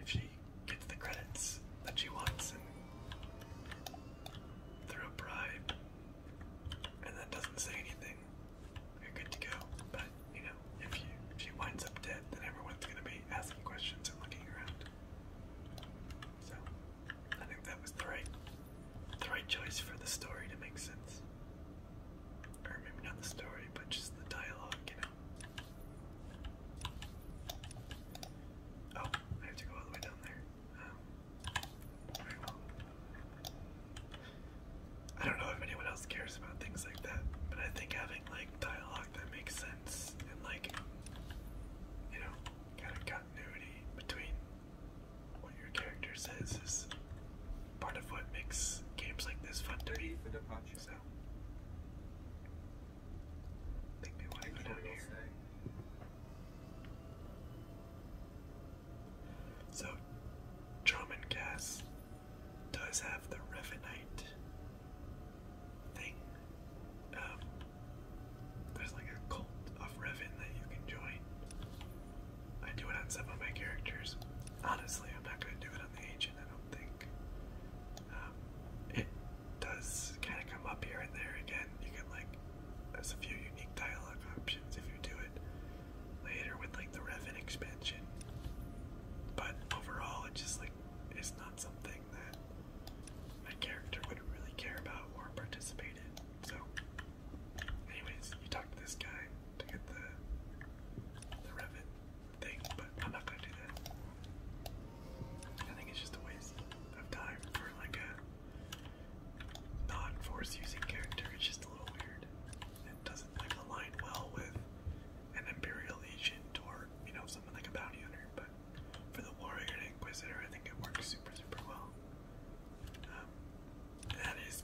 If she gets the credits that she wants and through a bribe and then doesn't say anything, you're good to go. But you know, if you if she winds up dead, then everyone's gonna be asking questions and looking around. So I think that was the right the right choice for the story to make sense. Or maybe not the story, but just the dialogue, you know. Oh, I have to go all the way down there. Um, I don't know if anyone else cares about things like that, but I think having like dialogue that makes sense and like you know, kind of continuity between what your character says is part of what makes games like this fun to me. So, make me want to Gas does have the Revenite thing. Um, there's like a cult of Revan that you can join. I do it on some of my characters. Honestly, I'm not going to do it on the agent, I don't think. Um, it does kind of come up here and there again. You can, like, there's a few unique dialogue options if you do it later with, like, the Revan expansion. But overall, it just, like, is not something that my character would really care about or participate in. So, Anyways, you talk to this guy to get the the Revit thing, but I'm not gonna do that. I think it's just a waste of time for like a non-force using character. It's just a little weird. It doesn't like align well with an Imperial agent or you know someone like a bounty hunter. But for the warrior inquisitor, I think it works super super well. Um, that is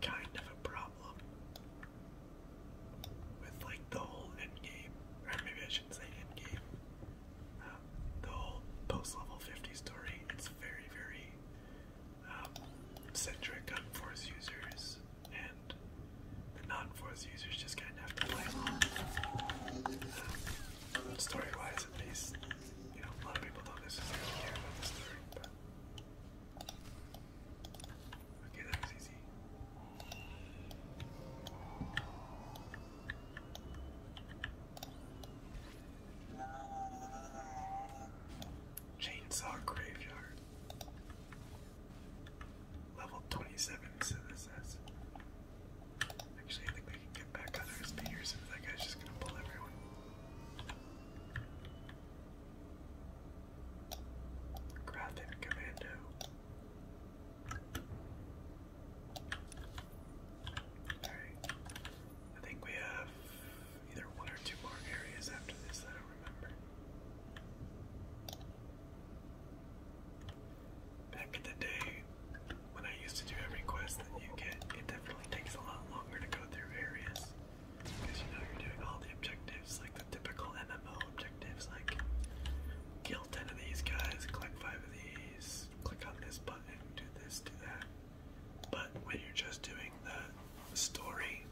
kind of a problem with like the whole end or maybe I shouldn't say end uh, the whole post level 50 story, it's very, very um, centric on force users, and the non force users just kind of have to play along. Um, story wise, at least, you know, a lot of people don't necessarily care about the story, but Chainsaw Graveyard. Level 27, so this says. Actually, I think we can get back under his speakers if that guy's just gonna pull everyone. Grafton Commando. Alright. I think we have either one or two more areas after this, I don't remember. Back in the day, when I used to do every quest that you get, it definitely takes a lot longer to go through areas. Because you know you're doing all the objectives, like the typical MMO objectives, like kill 10 of these guys, collect 5 of these, click on this button, do this, do that. But when you're just doing the story,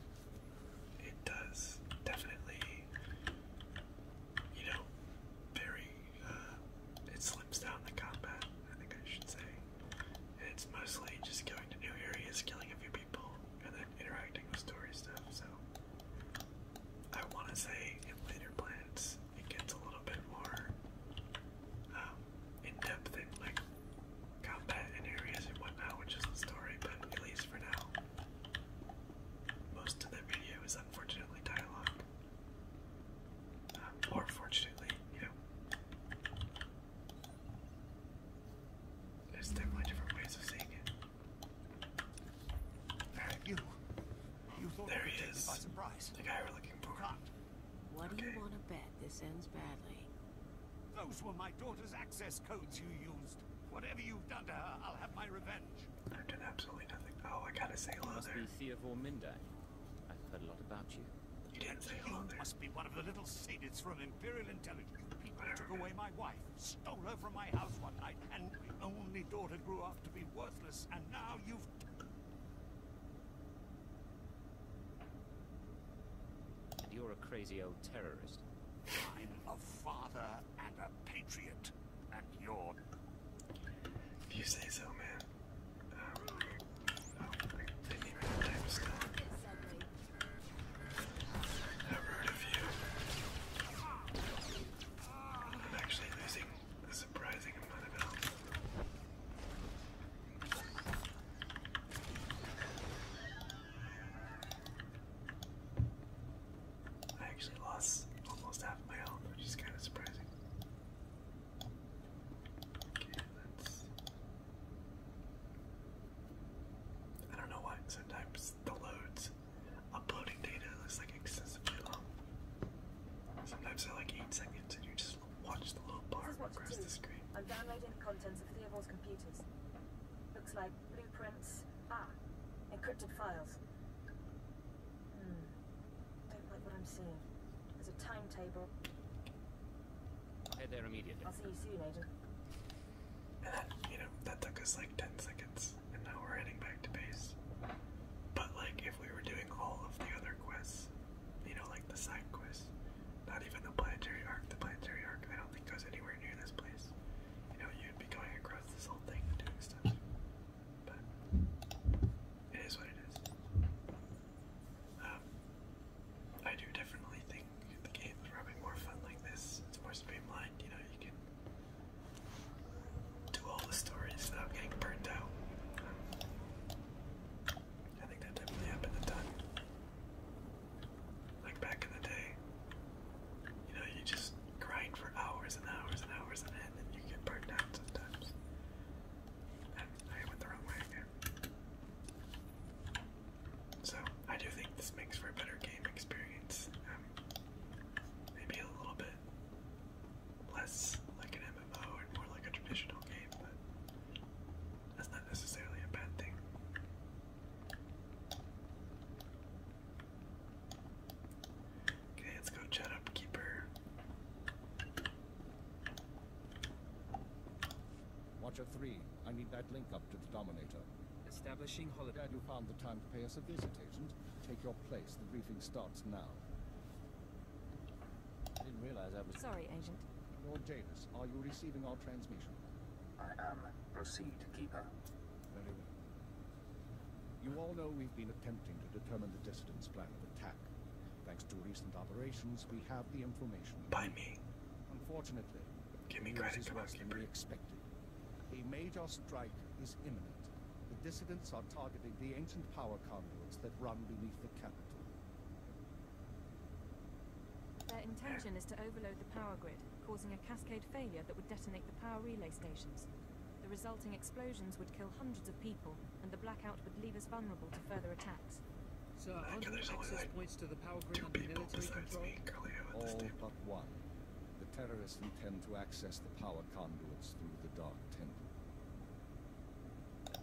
it does definitely, you know, very, uh, it slips down the combat, I think I should say. It's mostly just going to new areas, killing a few people, and then interacting with story stuff. So I want to say in later plans it gets a little bit more um, in depth in like combat and areas and whatnot, which is the story. But at least for now, most of the video is unfortunately dialogue, um, or fortunately, you know. There's definitely different ways of seeing it. Alright. You, you thought there he is. By surprise. The guy we're looking for. Not. What do you want to bet this ends badly? Those were my daughter's access codes you used. Whatever you've done to her, I'll have my revenge. I've done absolutely nothing. Oh, I gotta say hello there. Must be Theobor Mindine. I've heard a lot about you. You didn't say hello there. must be one of the little satyrs from Imperial Intelligence. People took away my wife, stole her from my house one night, and my only daughter grew up to be worthless, and now you've... And You're a crazy old terrorist. I'm a father and a patriot, and you're... If you say so, man. Um, Never heard of you. I'm actually losing a surprising amount of health. I actually lost almost half my health, which is kind of surprising. Okay, let I don't know why sometimes the loads uploading data looks like excessively long. Sometimes they're like eight seconds and you just watch the little bar across the screen. I'm downloading the contents of Theobald's computers. Looks like blueprints. Ah, encrypted files. Hmm. Don't like what I'm seeing. There's a timetable. Head there immediately. I'll see you soon, Agent. And that, you know, that took us like 10 seconds, and now we're heading back to base. But, like, if we were doing all of the other quests, you know, like the side quests, not even the planetary arc, the planetary arc I don't think goes anywhere near this place. You know, you'd be going across this whole thing doing stuff. But, it is what it is. Um, I do definitely think the game is probably more fun like this. It's more streamlined, you know, you can do all the stories without getting burnt out. I think that definitely happened a ton. Like back in the day, you know, you just grind for hours and hours and hours and end, and you get burnt out sometimes. I went the wrong way again. So I do think this makes for a better game experience. Um, maybe a little bit less like an MMO and more like a traditional game, but that's not necessarily a bad thing. Okay, let's go chat upkeeper. Watcher 3, I need that link up to the Dominator. Establishing holiday. Glad you found the time to pay us a visit, Agent. Take your place. The briefing starts now. I didn't realize I was... Sorry, Agent. Lord Janus, are you receiving our transmission? I am. Proceed, Keeper. Very well. You all know we've been attempting to determine the dissident's plan of attack. Thanks to recent operations, we have the information. By me. Unfortunately, give me credit, come on, We expected. A major strike is imminent. The dissidents are targeting the ancient power conduits that run beneath the capital. Their intention is to overload the power grid, causing a cascade failure that would detonate the power relay stations. The resulting explosions would kill hundreds of people, and the blackout would leave us vulnerable to further attacks. So and there's points to the power grid two military control? All but one. The terrorists intend to access the power conduits through the Dark Temple.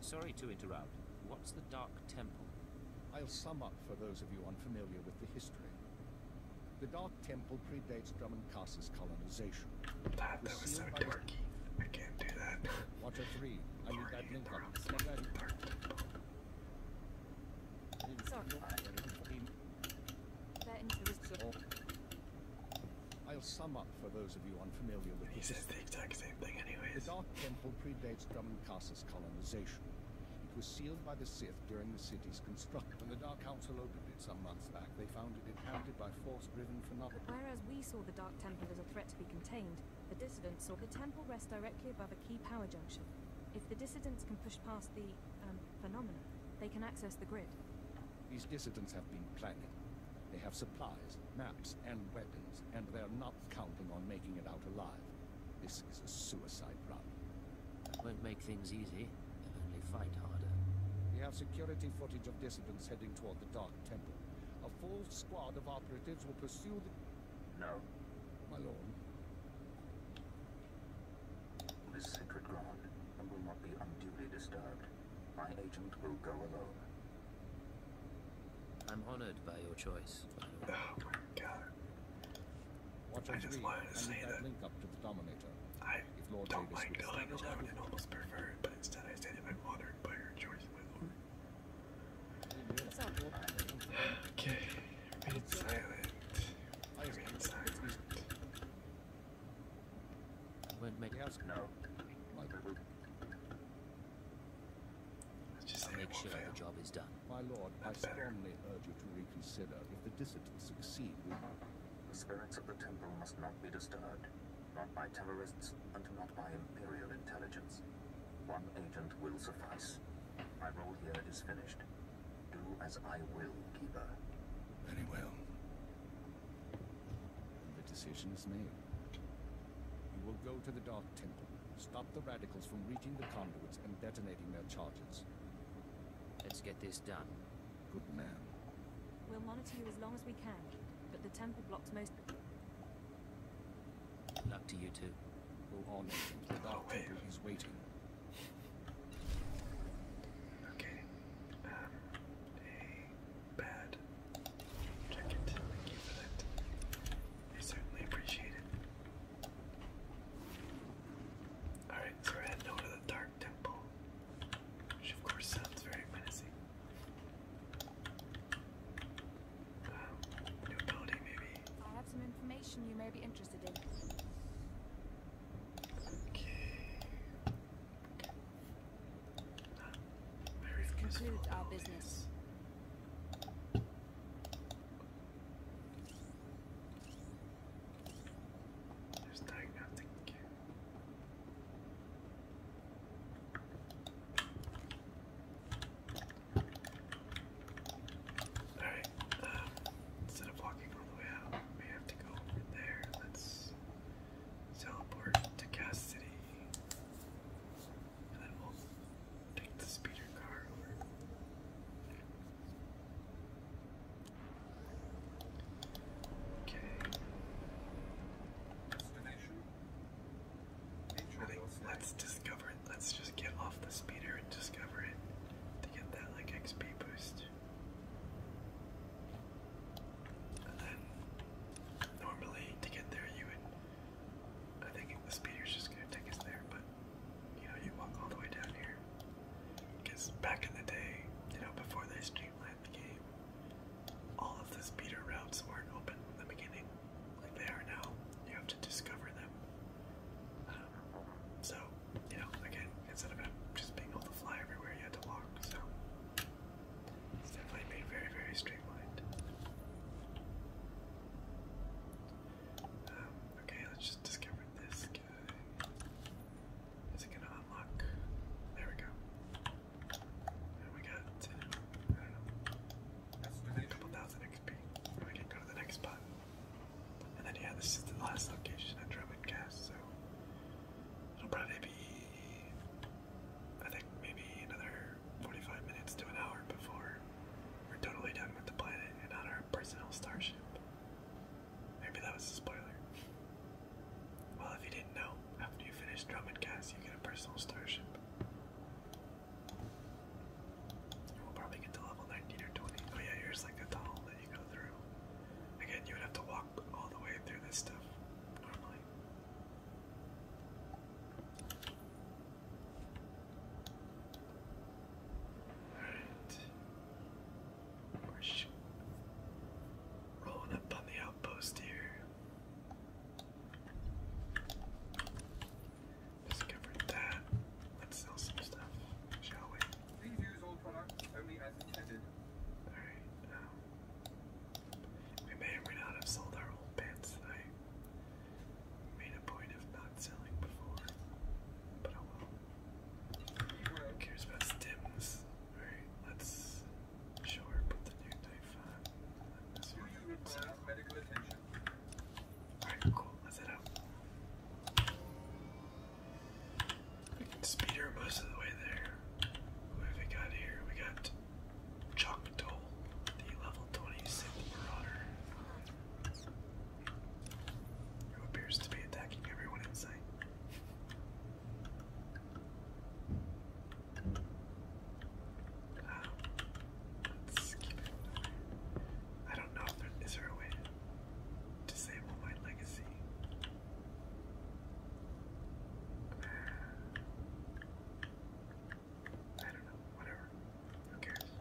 Sorry to interrupt. What's the Dark Temple? I'll sum up for those of you unfamiliar with the history. The Dark Temple predates Drummond colonization. That, was so dorky. I can't do that. Watcher 3, I need that link up. I'll sum up for those of you unfamiliar with he says the exact same thing anyway. The Dark Temple predates Drummond colonization. It was sealed by the Sith during the city's construction. When the Dark Council opened it some months back, they found it inhabited by force driven phenomenon. But whereas we saw the Dark Temple as a threat to be contained, the dissidents saw the temple rest directly above key power junction. If the dissidents can push past the, um, phenomena, they can access the grid. These dissidents have been planning. They have supplies, maps, and weapons, and they're not counting on making it out alive. This is a suicide run. That won't make things easy. They'll only fight harder. We have security footage of dissidents heading toward the Dark Temple. A full squad of operatives will pursue the... No. My lord. This sacred ground will not be unduly disturbed. My agent will go alone. I'm honored by your choice, Oh god. I just wanted to say that, I don't mind dying alone and almost pervert, but instead I stand in my by your choice, my lord. Okay, remain silent. Remain silent. Wouldn't make us no. Let's just I'll make sure fail. the job is done. My lord, That's I strongly urge you to reconsider. If the dissidents succeed, we... The spirits of the temple must not be disturbed. Not by terrorists, and not by imperial intelligence. One agent will suffice. My role here is finished. Do as I will, Keeper. Very well. The decision is made. You will go to the Dark Temple, stop the Radicals from reaching the conduits and detonating their charges. Let's get this done. Good man. We'll monitor you as long as we can, but the temple blocks most... Luck to you too. Go on. oh, temple waiting. Okay. Um, bad jacket. Thank you for that. I certainly appreciate it. Alright, so we're heading over to the Dark Temple. Which of course sounds very menacing. I have some information you may be interested in. this concludes our business. There's diagnostic Alright, um, instead of walking all the way out, we have to go over there. Let's teleport to Cass And then we'll take the speeder car over. Okay let's discover it. Let's just get off the speeder and discover it to get that like XP boost. And then normally to get there you would I think the speeder's just gonna take us there, but you know, you walk all the way down here. Because back in the day, you know, before they streamlined the all of the speeder routes weren't open in the beginning like they are now. You have to discover them. Um, so, you know, again, instead of just being able to fly everywhere, you had to walk. So, it's definitely made very, very streamlined. Um, okay, let's just discover this guy. Is it gonna unlock? There we go. And we got, uh, I don't know, a couple thousand XP. We can go to the next spot. And then yeah, this is the last location at Drummond Cast, so it'll probably be I think maybe another 45 minutes to an hour before we're totally done with the planet and on our personal starship. Maybe that was a spoiler. Well, if you didn't know, after you finish Drummond Cast, you get a personal starship. We'll probably get to level 19 or 20. Oh yeah, here's like the tunnel that you go through. Again, you would have to walk all the way through this stuff normally. Alright. We're rolling up on the outpost here. Discovered that. Let's sell some stuff, shall we? Please use all products only as intended. Alright, um, we may or may not have sold our old pants tonight. Made a point of not selling before, but oh well. Who cares about stims? Alright, let's sure put the new knife on. medical attention? Alright, cool. That's it up. We can speed her most of the way there. What have we got here? We got Choctol, the level 26 marauder. Who appears to be attacking everyone in sight. Ah. I don't know if there is there a way to disable my legacy. I don't know, whatever. Who cares?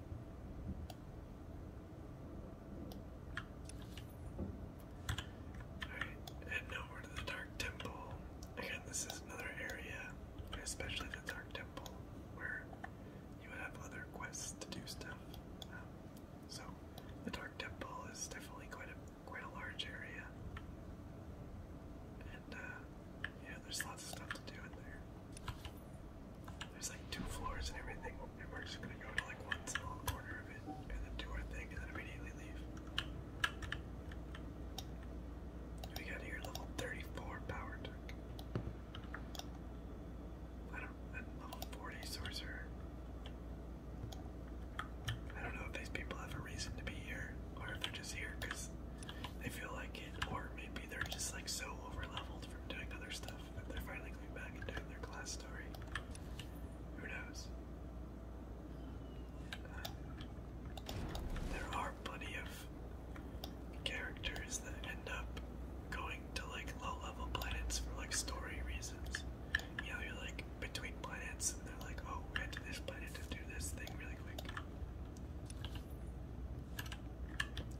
Alright, heading over to the Dark Temple. Again, this is another area, especially the Dark Temple, where you would have other quests to do stuff. Um, so the Dark Temple is definitely quite a quite a large area, and uh, yeah, there's lots of stuff to do in there. There's like two floors and everything, we're just gonna go to like one small corner of it, and then do our thing, and then immediately leave. We got here level 34 power tech. I don't, level 40 sorcerer. I don't know if these people have a reason to be here, or if they're just here because they feel like it, or maybe they're just like so over leveled from doing other stuff that they're finally coming back and their class story. Who knows? Uh, there are plenty of characters that end up going to like low level planets for like story reasons. You know, you're like between planets and they're like, oh, we went to this planet to do this thing really quick.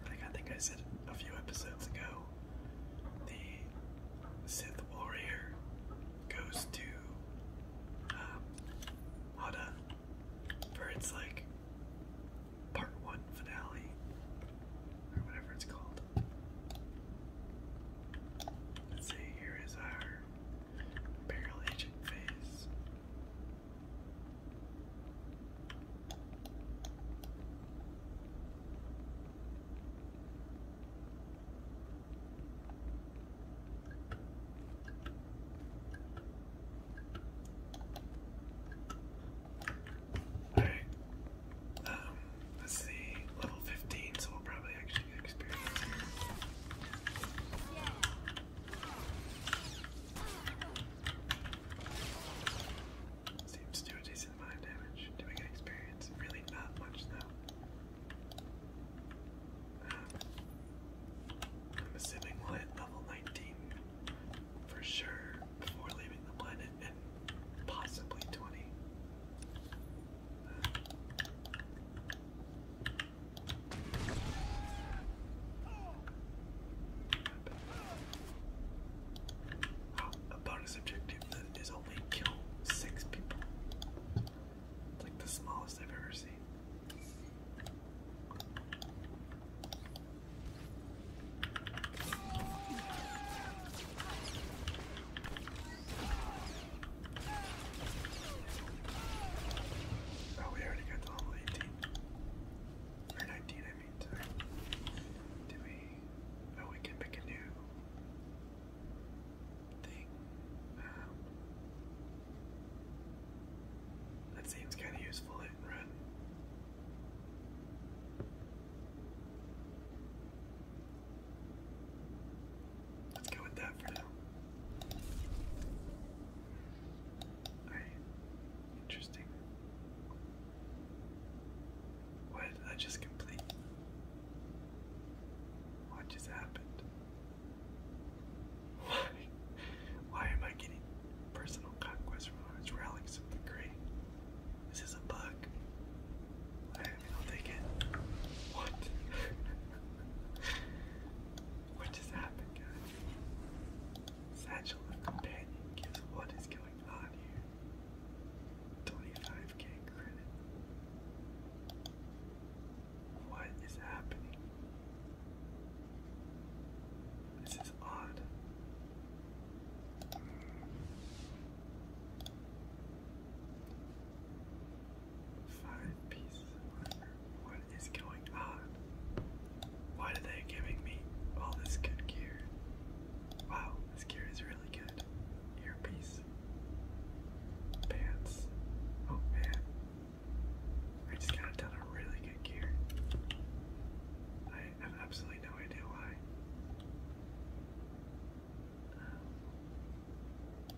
Like I think I said a few episodes ago, the Sith Warrior goes to um, Hada for its like part one finale, or whatever it's called. Let's see, here is our barrel agent phase. Alright. Um, let's see. Level 15, so we'll probably actually get experience Seems to do a decent amount of damage. Do experience? Really not much now. Um, I'm assuming we'll hit level 19 for sure before leaving the planet, and possibly 20. Uh, Oh, objective that is only kill six people. It's like the smallest I've ever seen. Oh, we already got the level 18. Or 19, I mean, sorry. we? Oh, we can pick a new thing. Um, that seems kind of useful, hit and Let's go with that for now. Interesting. What I just complete? What just happened? Why? *laughs* Why am I getting Personal conquest from relics of the great. This is a bug. I don't think What? *laughs* what just happened, guys? Satchel companion gives what is going on here. 25k credit. What is happening? This is odd. Five pieces What is going on? Why are they giving me all this good gear? Wow, this gear is really good. Earpiece. Pants. Oh man. I just got a really good gear. I have absolutely no idea why. Um,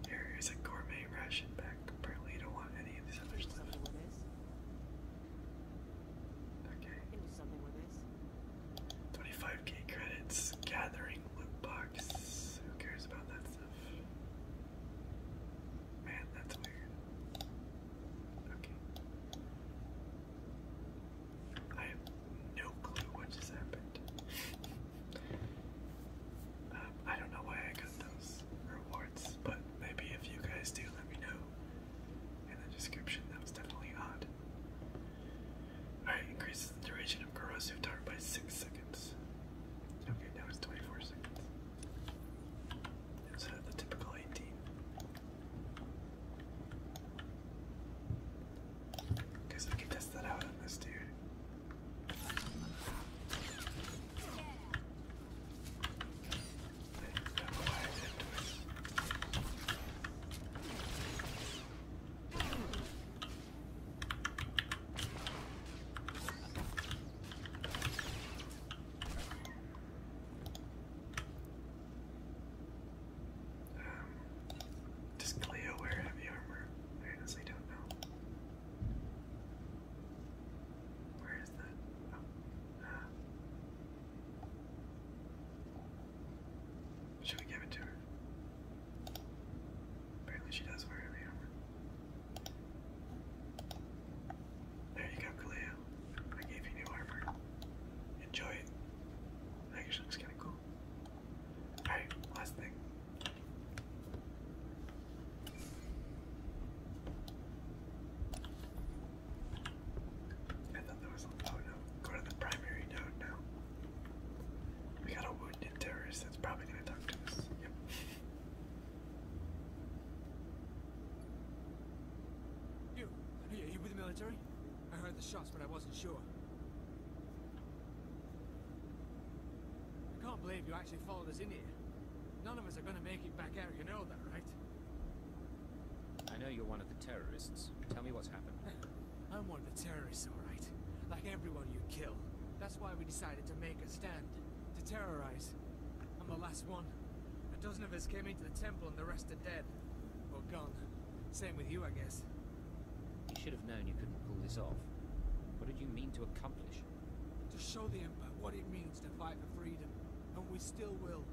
here is a gourmet ration pack. Apparently, you don't want any of these other stuff. Okay. Can do something with this? 25k credits. Gathering loot box. Who cares about that stuff? Man, that's weird. Okay. I have no clue what just happened. Um, I don't know why I got those rewards, but maybe if you guys do, let me know in the description. That was definitely odd. Alright, increases the duration of corrosive dart by 6 seconds. Okay, now it's 24 seconds. Instead of uh, the typical 18. Guess we can test that out on this dude. Um, does Cleo wear heavy armor? I honestly don't know. Where is that? Oh, uh. should we give it to her? Apparently she does wear heavy armor. There you go, Cleo. I gave you new armor. Enjoy it. actually looks kind of cool. Alright, last thing. I thought that was. Oh no. Go to the primary node now. We got a wounded terrorist that's probably gonna talk to us. Yep. You, you with the military? I heard the shots, but I wasn't sure. I can't believe you actually followed us in here. None of us are gonna make it back out, you know that, right? I know you're one of the terrorists. Tell me what's happened. *sighs* I'm one of the terrorists, all right. Like everyone you kill. That's why we decided to make a stand. To terrorize. I'm the last one. A dozen of us came into the temple and the rest are dead dead. gone. Same with you, I guess. You should have known you couldn't pull this off. What did you mean to accomplish? To show the Empire what it means to fight for freedom. And we still will.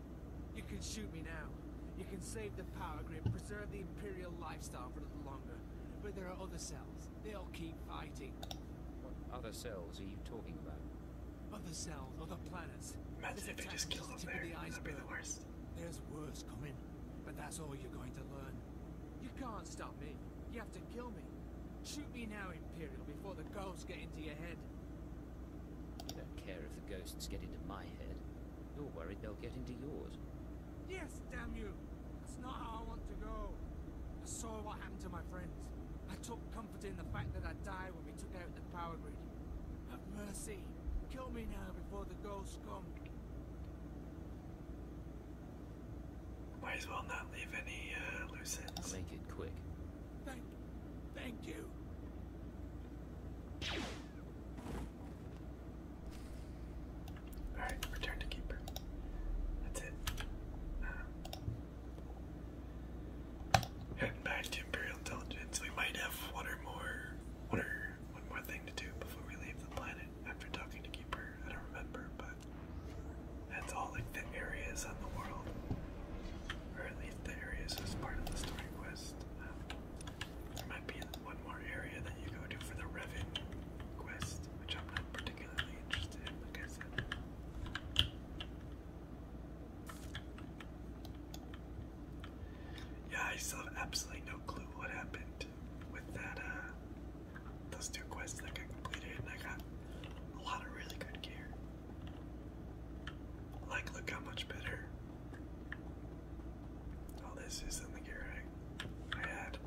You can shoot me now. You can save the power grid, preserve the Imperial lifestyle for a little longer. But there are other cells. They'll keep fighting. What other cells are you talking about? Other cells, other planets. Imagine if they just killed us the there. The That'd the worst. There's worse coming, but that's all you're going to learn. You can't stop me. You have to kill me. Shoot me now, Imperial, before the ghosts get into your head. You don't care if the ghosts get into my head. You're worried they'll get into yours. Yes, damn you! That's not how I want to go. I saw what happened to my friends. I took comfort in the fact that i died when we took out the power grid mercy. Kill me now before the ghosts come. Might as well not leave any uh, loose ends. make it quick. Thank, thank you. Alright, return to keeper. That's it. Uh, Heading back to Imperial Intelligence. We might have one or more, one or one more thing to do before we leave the planet. After talking to Keeper, I don't remember, but that's all like the areas on the world, or at least the areas as part of the story quest. Um, there might be one more area that you go to for the Revan quest, which I'm not particularly interested in, like I said. Yeah, I still have absolutely no clue what happened with that, uh, those two quests that got completed, and I got a lot of really good gear. Like, look how much better all this is than the gear I, I had.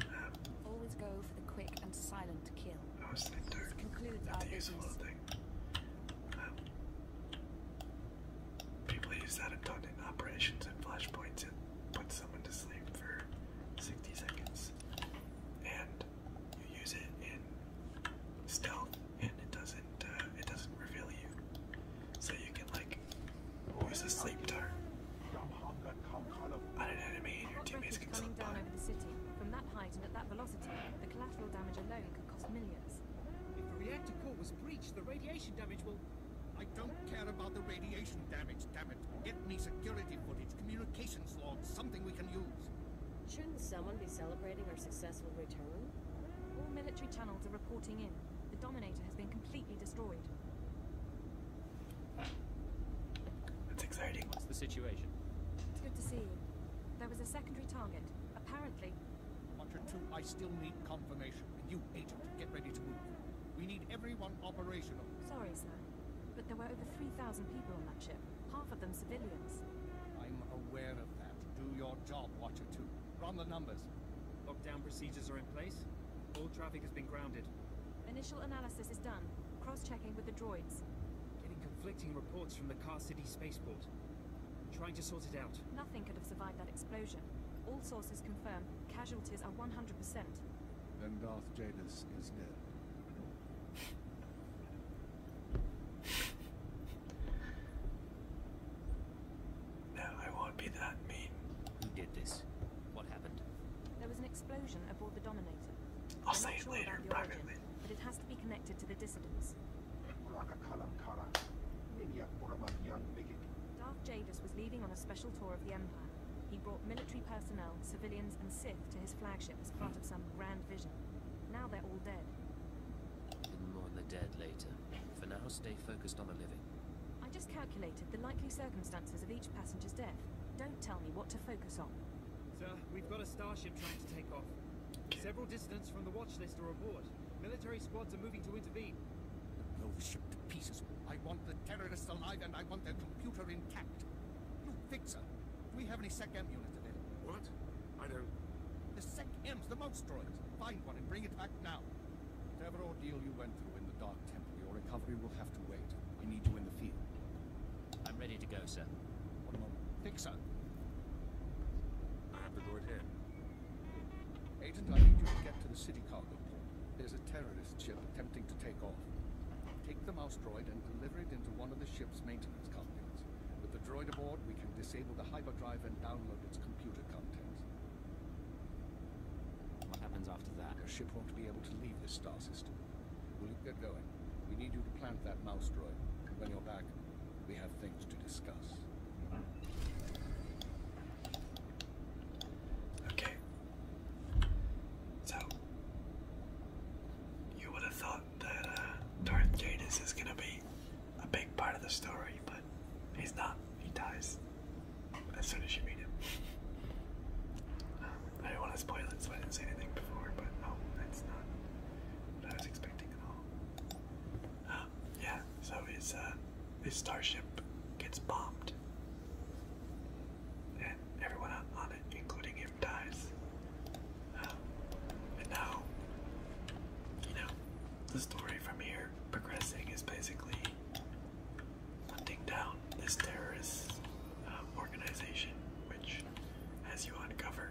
Um, Always go for the quick and silent kill. I was thinking, not the useful thing. People use that a ton in operations and flashpoints. It puts someone to sleep for 60 seconds. And you use it in stealth, and it doesn't uh, it doesn't reveal you. So you can like who is asleep sleep an enemy, and your teammates can From that height and at that velocity, the collateral damage alone cost millions. If the reactor core was breached, the radiation damage will... I don't care about the radiation damage, damn it. Get me security footage, communications logs, something we can use. Shouldn't someone be celebrating our successful return? All military channels are reporting in. The Dominator has been completely destroyed. That's exciting. What's the situation? It's good to see you. There was a secondary target. Apparently, Watcher 2, I still need confirmation. And you, Agent, get ready to move. We need everyone operational. Sorry, sir. But there were over 3,000 people on that ship. Half of them civilians. I'm aware of that. Do your job, Watcher 2. Run the numbers. Lockdown procedures are in place. All traffic has been grounded. Initial analysis is done. Cross-checking with the droids. Getting conflicting reports from the Car City spaceport. Trying to sort it out. Nothing could have survived that explosion. All sources confirm casualties are 100%. Then Darth Jadis is dead. No, I won't be that mean. Who did this? What happened? There was an explosion aboard the Dominator. I'll am say it sure later, privately. Origin, but it has to be connected to the dissidents. Dark Jadis was leaving on a special tour of the Empire. He brought military personnel, civilians, and Sith to his flagship as part of some grand vision. Now they're all dead. We'll mourn the dead later. For now, stay focused on the living. I just calculated the likely circumstances of each passenger's death. Don't tell me what to focus on. Sir, we've got a starship trying to take off. Several distance from the watch list are aboard. Military squads are moving to intervene. blow the ship to pieces. I want the terrorists alive and I want their computer intact. You fixer, do we have any SECM units available? What? I don't... The SECM's, the mostroids. Find one and bring it back now. Whatever ordeal you went through in the Dark Temple, your recovery will have to wait. I need you in the field. I'm ready to go, sir. One moment. Fixer, Agent, I need you to get to the city cargo port. There's a terrorist ship attempting to take off. Take the mouse droid and deliver it into one of the ship's maintenance companies. With the droid aboard, we can disable the hyperdrive and download its computer contents. What happens after that? The ship won't be able to leave this star system. Will you get going? We need you to plant that mouse droid when you're back. We have things to discuss. Okay. So, you would have thought that uh, Darth Janus is going to be a big part of the story, but he's not. He dies as soon as you meet him. Um, I didn't want to spoil it, so I didn't say anything before, but no, that's not what I was expecting at all. *gasps* yeah, so uh, his his starship gets bombed, and everyone on, it, including him, dies. Um, and now, you know, the story from here progressing is basically hunting down this terrorist um, organization, which, as you uncover,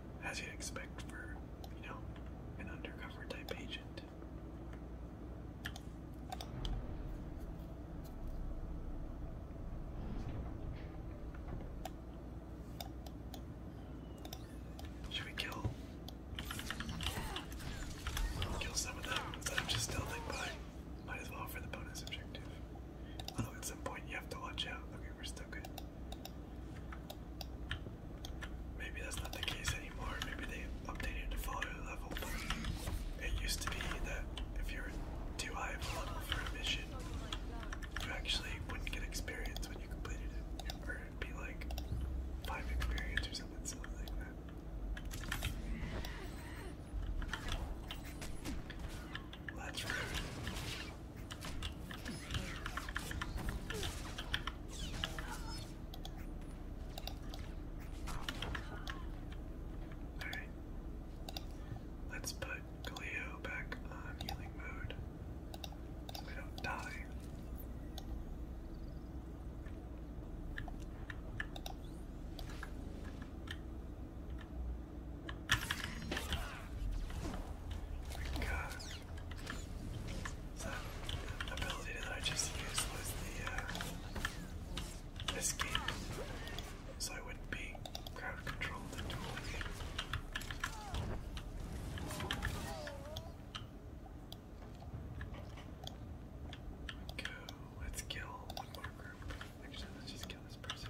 as you'd expect for, you know, an undercover type agent. Should we kill kill some of them instead of just stealthing by? Might as well for the bonus objective. Although at some point you have to watch out. Okay, we're still Maybe that's not the case anymore. Maybe they updated to follow your level, but it used to be that if you were too high of a level for a mission, you actually wouldn't get experience when you completed it. Or it'd be like five experience or something, something like that. Let's Alright. Let's put Cleo back on healing mode so we don't die. God. That ability that I just used was the escape, so I wouldn't be crowd controlled into a Go. Let's kill Actually, let's just kill this person.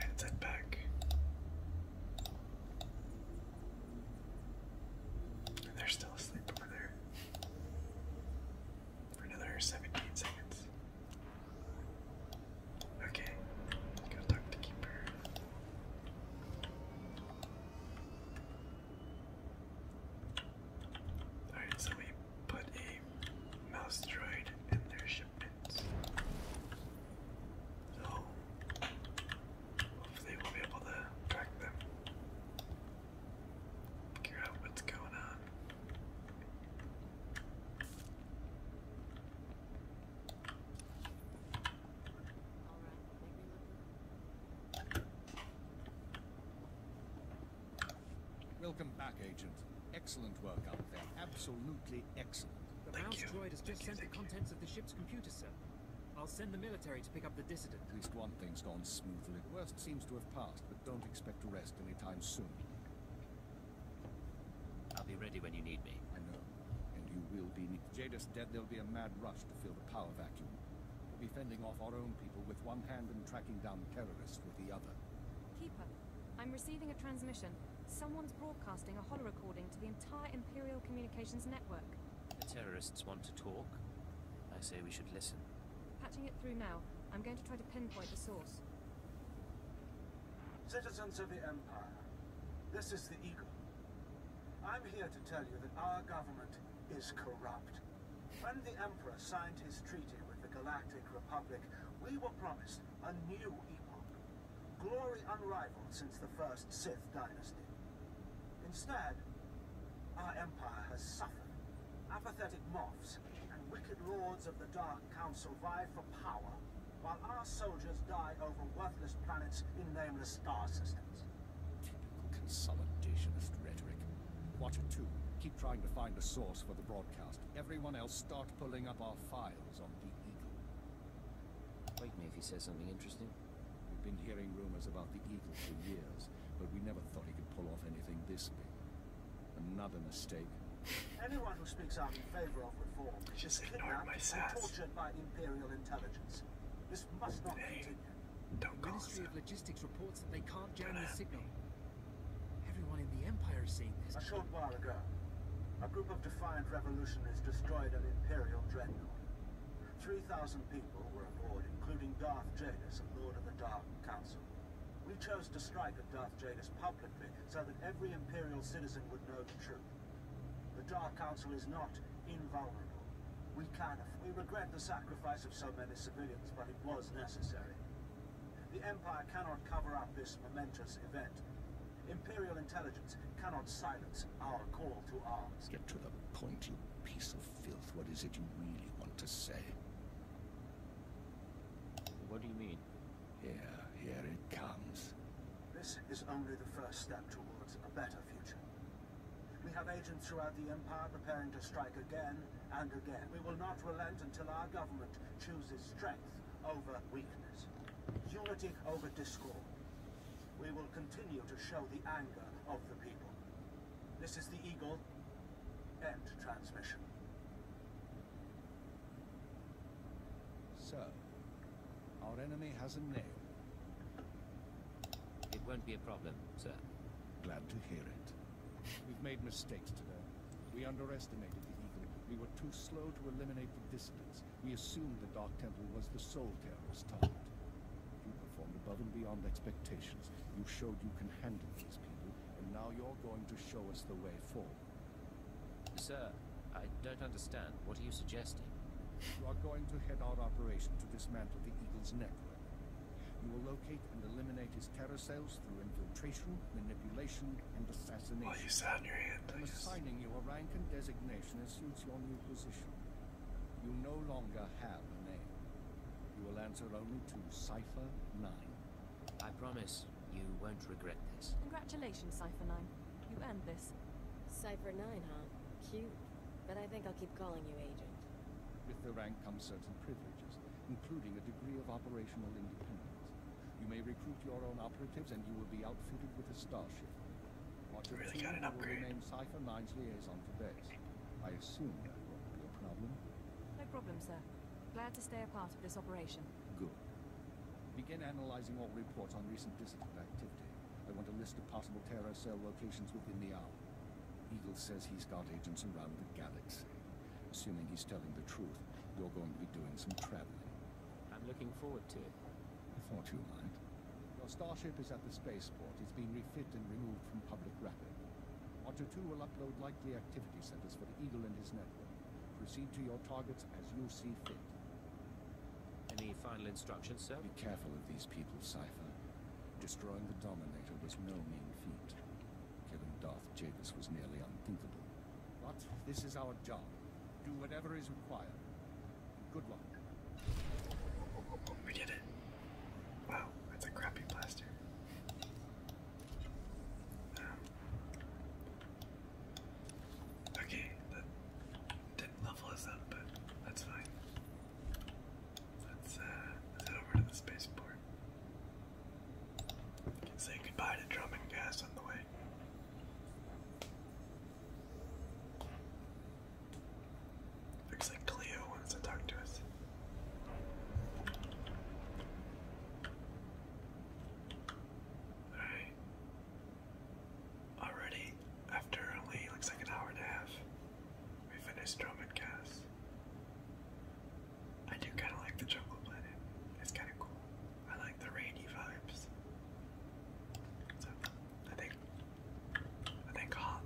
And that back. And they're still asleep over there. For another 17 seconds. Okay, go talk to Keeper. Alright, so we put a mouse droid in their ship. So hopefully we'll be able to track them. Figure out what's going on. Welcome back, Agent. Excellent work out there. Absolutely excellent. The mouse droid has just sent the contents of the ship's computer, sir. I'll send the military to pick up the dissident. At least one thing's gone smoothly. The worst seems to have passed, but don't expect to rest anytime soon. I'll be ready when you need me. And you will be needed. Jada's dead, there'll be a mad rush to fill the power vacuum. We'll be fending off our own people with one hand and tracking down terrorists with the other. Keeper, I'm receiving a transmission. Someone's broadcasting a holo recording to the entire Imperial Communications Network. The terrorists want to talk. I say we should listen. Patching it through now. I'm going to try to pinpoint the source. Citizens of the Empire, this is the Eagle. I'm here to tell you that our government is corrupt. When the Emperor signed his treaty with the Galactic Republic, we were promised a new epoch. Glory unrivaled since the first Sith dynasty. Instead, our Empire has suffered. Apathetic moths and wicked lords of the Dark Council vie for power, while our soldiers die over worthless planets in nameless star systems consolidationist rhetoric. Watcher 2, keep trying to find a source for the broadcast. Everyone else, start pulling up our files on the Eagle. Wake me if he says something interesting. We've been hearing rumors about the Eagle for years, but we never thought he could pull off anything this big. Another mistake. *laughs* Anyone who speaks out in favor of reform is just kidnapped and tortured by Imperial intelligence. This must not hey, continue. the Ministry of Logistics reports that they can't jam the signal. Everyone in the Empire is seeing this. A short while ago, a group of defiant revolutionaries destroyed an Imperial dreadnought. 3,000 people were aboard, including Darth Jadis and Lord of the Dark Council. We chose to strike at Darth Jadis publicly so that every Imperial citizen would know the truth. The Dark Council is not invulnerable. We can We regret the sacrifice of so many civilians, but it was necessary. The Empire cannot cover up this momentous event. Imperial intelligence cannot silence our call to arms. Get to the point, you piece of filth. What is it you really want to say? What do you mean? Here, here it comes. This is only the first step towards a better future. We have agents throughout the Empire preparing to strike again and again. We will not relent until our government chooses strength over weakness, unity over discord. We will continue to show the anger of the people. This is the Eagle. End transmission. So, our enemy has a name. It won't be a problem, sir. Glad to hear it. We've made mistakes today. We underestimated the evil. We were too slow to eliminate the dissidents. We assumed the Dark Temple was the sole terrorist target. You performed above and beyond expectations. You showed you can handle these people, and now you're going to show us the way forward. Sir, I don't understand. What are you suggesting? You are going to head our operation to dismantle the Eagle's network. You will locate and eliminate his terror cells through infiltration, manipulation, and assassination. Well, you sound your hand. I'm assigning you a rank and designation that suits your new position. You no longer have a name. You will answer only to Cipher 9. I promise you won't regret this. Congratulations, Cipher 9. You earned this. Cipher 9, huh? Cute. But I think I'll keep calling you Agent. With the rank come certain privileges, including a degree of operational independence. You may recruit your own operatives and you will be outfitted with a starship. Watcher really got an will remain Cypher 9's liaison for days. I assume that won't be a problem. No problem, sir. Glad to stay a part of this operation. Good. Begin analyzing all reports on recent disciplined activity. I want a list of possible terror cell locations within the hour. Eagle says he's got agents around the galaxy. Assuming he's telling the truth, you're going to be doing some traveling. I'm looking forward to it. I thought you might. Your starship is at the spaceport. It's been refitted and removed from public rapid. Watcher 2 will upload likely activity centers for Eagle and his network. Proceed to your targets as you see fit. Any final instructions, sir? Be careful of these people, Cypher. Destroying the Dominator was no mean feat. Killing Darth Javis was nearly unthinkable. But this is our job. Do whatever is required. Good luck. We did it. Wow, that's a crappy blaster. Um, okay, didn't level us up, but that's fine. Uh, let's, head over to the spaceport. can say goodbye to drum and gas on the way. Looks like Cleo wants to talk to us. Alright already after only looks like an hour and a half. We finished Drum and I do kind of like the Jungle Planet. It's kind of cool. I like the rainy vibes. So I think I think Hoth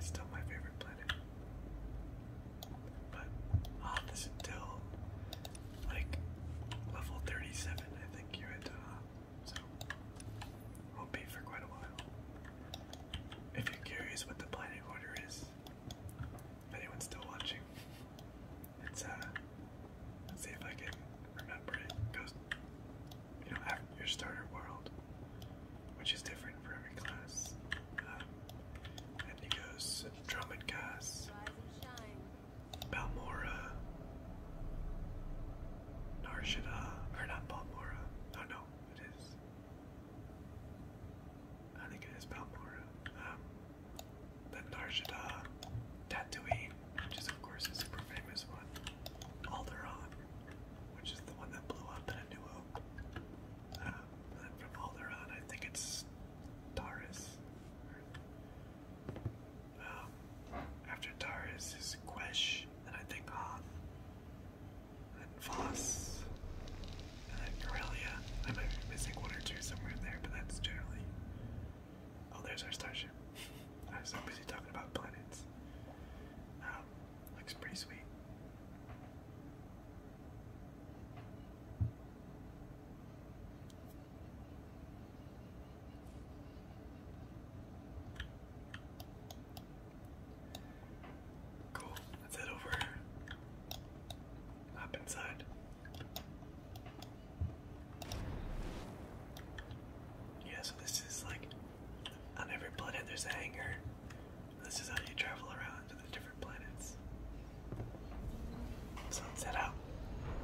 is still my favorite planet. But Hoth is until like level 37. I think you had to Hoth. So, won't be for quite a while. If you're curious what the planet order is, if anyone's still watching, it's uh, let's see if I can remember it. goes, you know, your starter world, which is different for every class. Um, and he goes Drummond Cass, Narshada, or not Balmora. Oh no, it is. I think it is Balmora. Um, Narshada, Tatooine, which is of course a super famous one. Alderaan, which is the one that blew up in A New um, Hope. from Alderaan, I think it's Taurus. Um, after Taurus is Quesh, and I think Hoth, uh, and then and then I might be missing one or two somewhere in there, but that's generally. Oh, there's our starship. *laughs* I was so busy talking about planets. Um, looks pretty sweet. Cool. Let's head over. Hop inside. Yeah, so this is like on every planet there's a hangar. This is how you travel around to the different planets. So let's head out.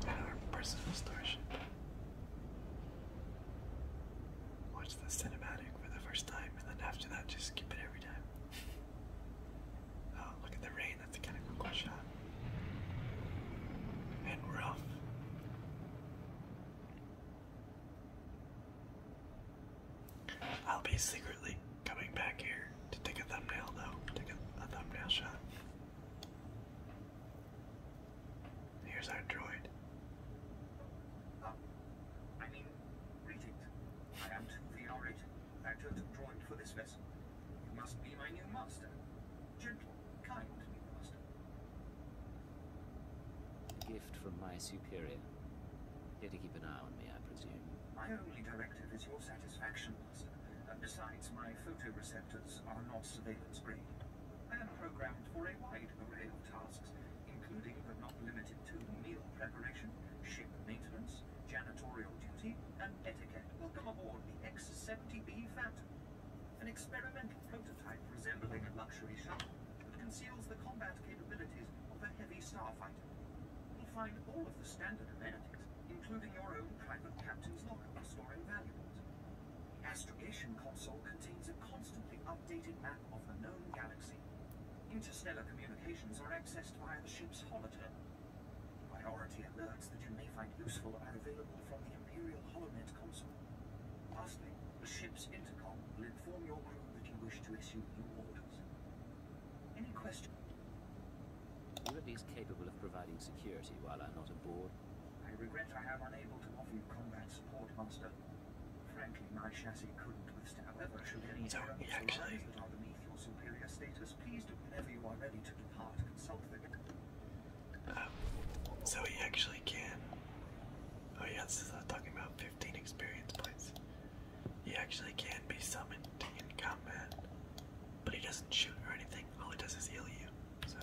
At our personal starship watch the cinematic for the first time, and then after that, just skip it every time. *laughs* Oh, look at the rain. That's kind of cool shot. And we're off. I'll be secretly coming back here to take a thumbnail, though. Take a thumbnail shot. Here's our droid. Oh, I mean, greetings. I am the orator, actor to droid for this vessel. You must be my new master. Gentle, kind new master. A Gift from my superior. Here to keep an eye on me, I presume. My only directive is your satisfaction, master. And besides, my photoreceptors are not surveillance grade. I am programmed for a wide array tasks, including but not limited to meal preparation, ship maintenance, janitorial duty, and etiquette. Welcome aboard the X-70B Phantom, an experimental prototype resembling a luxury shuttle that conceals the combat capabilities of a heavy starfighter. You'll find all of the standard amenities, including your own private captain's locker for storing valuables. The astrogation console contains a constantly updated map of the known galaxy. Interstellar communications are accessed via the ship's holodeck. Priority alerts that you may find useful are available from the Imperial Holonet console. Lastly, the ship's intercom will inform your crew that you wish to issue new orders. Any questions? You're at least capable of providing security while I'm not aboard. I regret I am unable to offer you combat support, Master. Frankly, my chassis couldn't withstand the virtually any so, actually. that are beneath your superior status. Please do whenever you are ready to depart, consult the uh, um, he actually can. Oh yeah, this is uh, talking about 15 experience points. He actually can be summoned in combat, but he doesn't shoot or anything. All he does is heal you. So,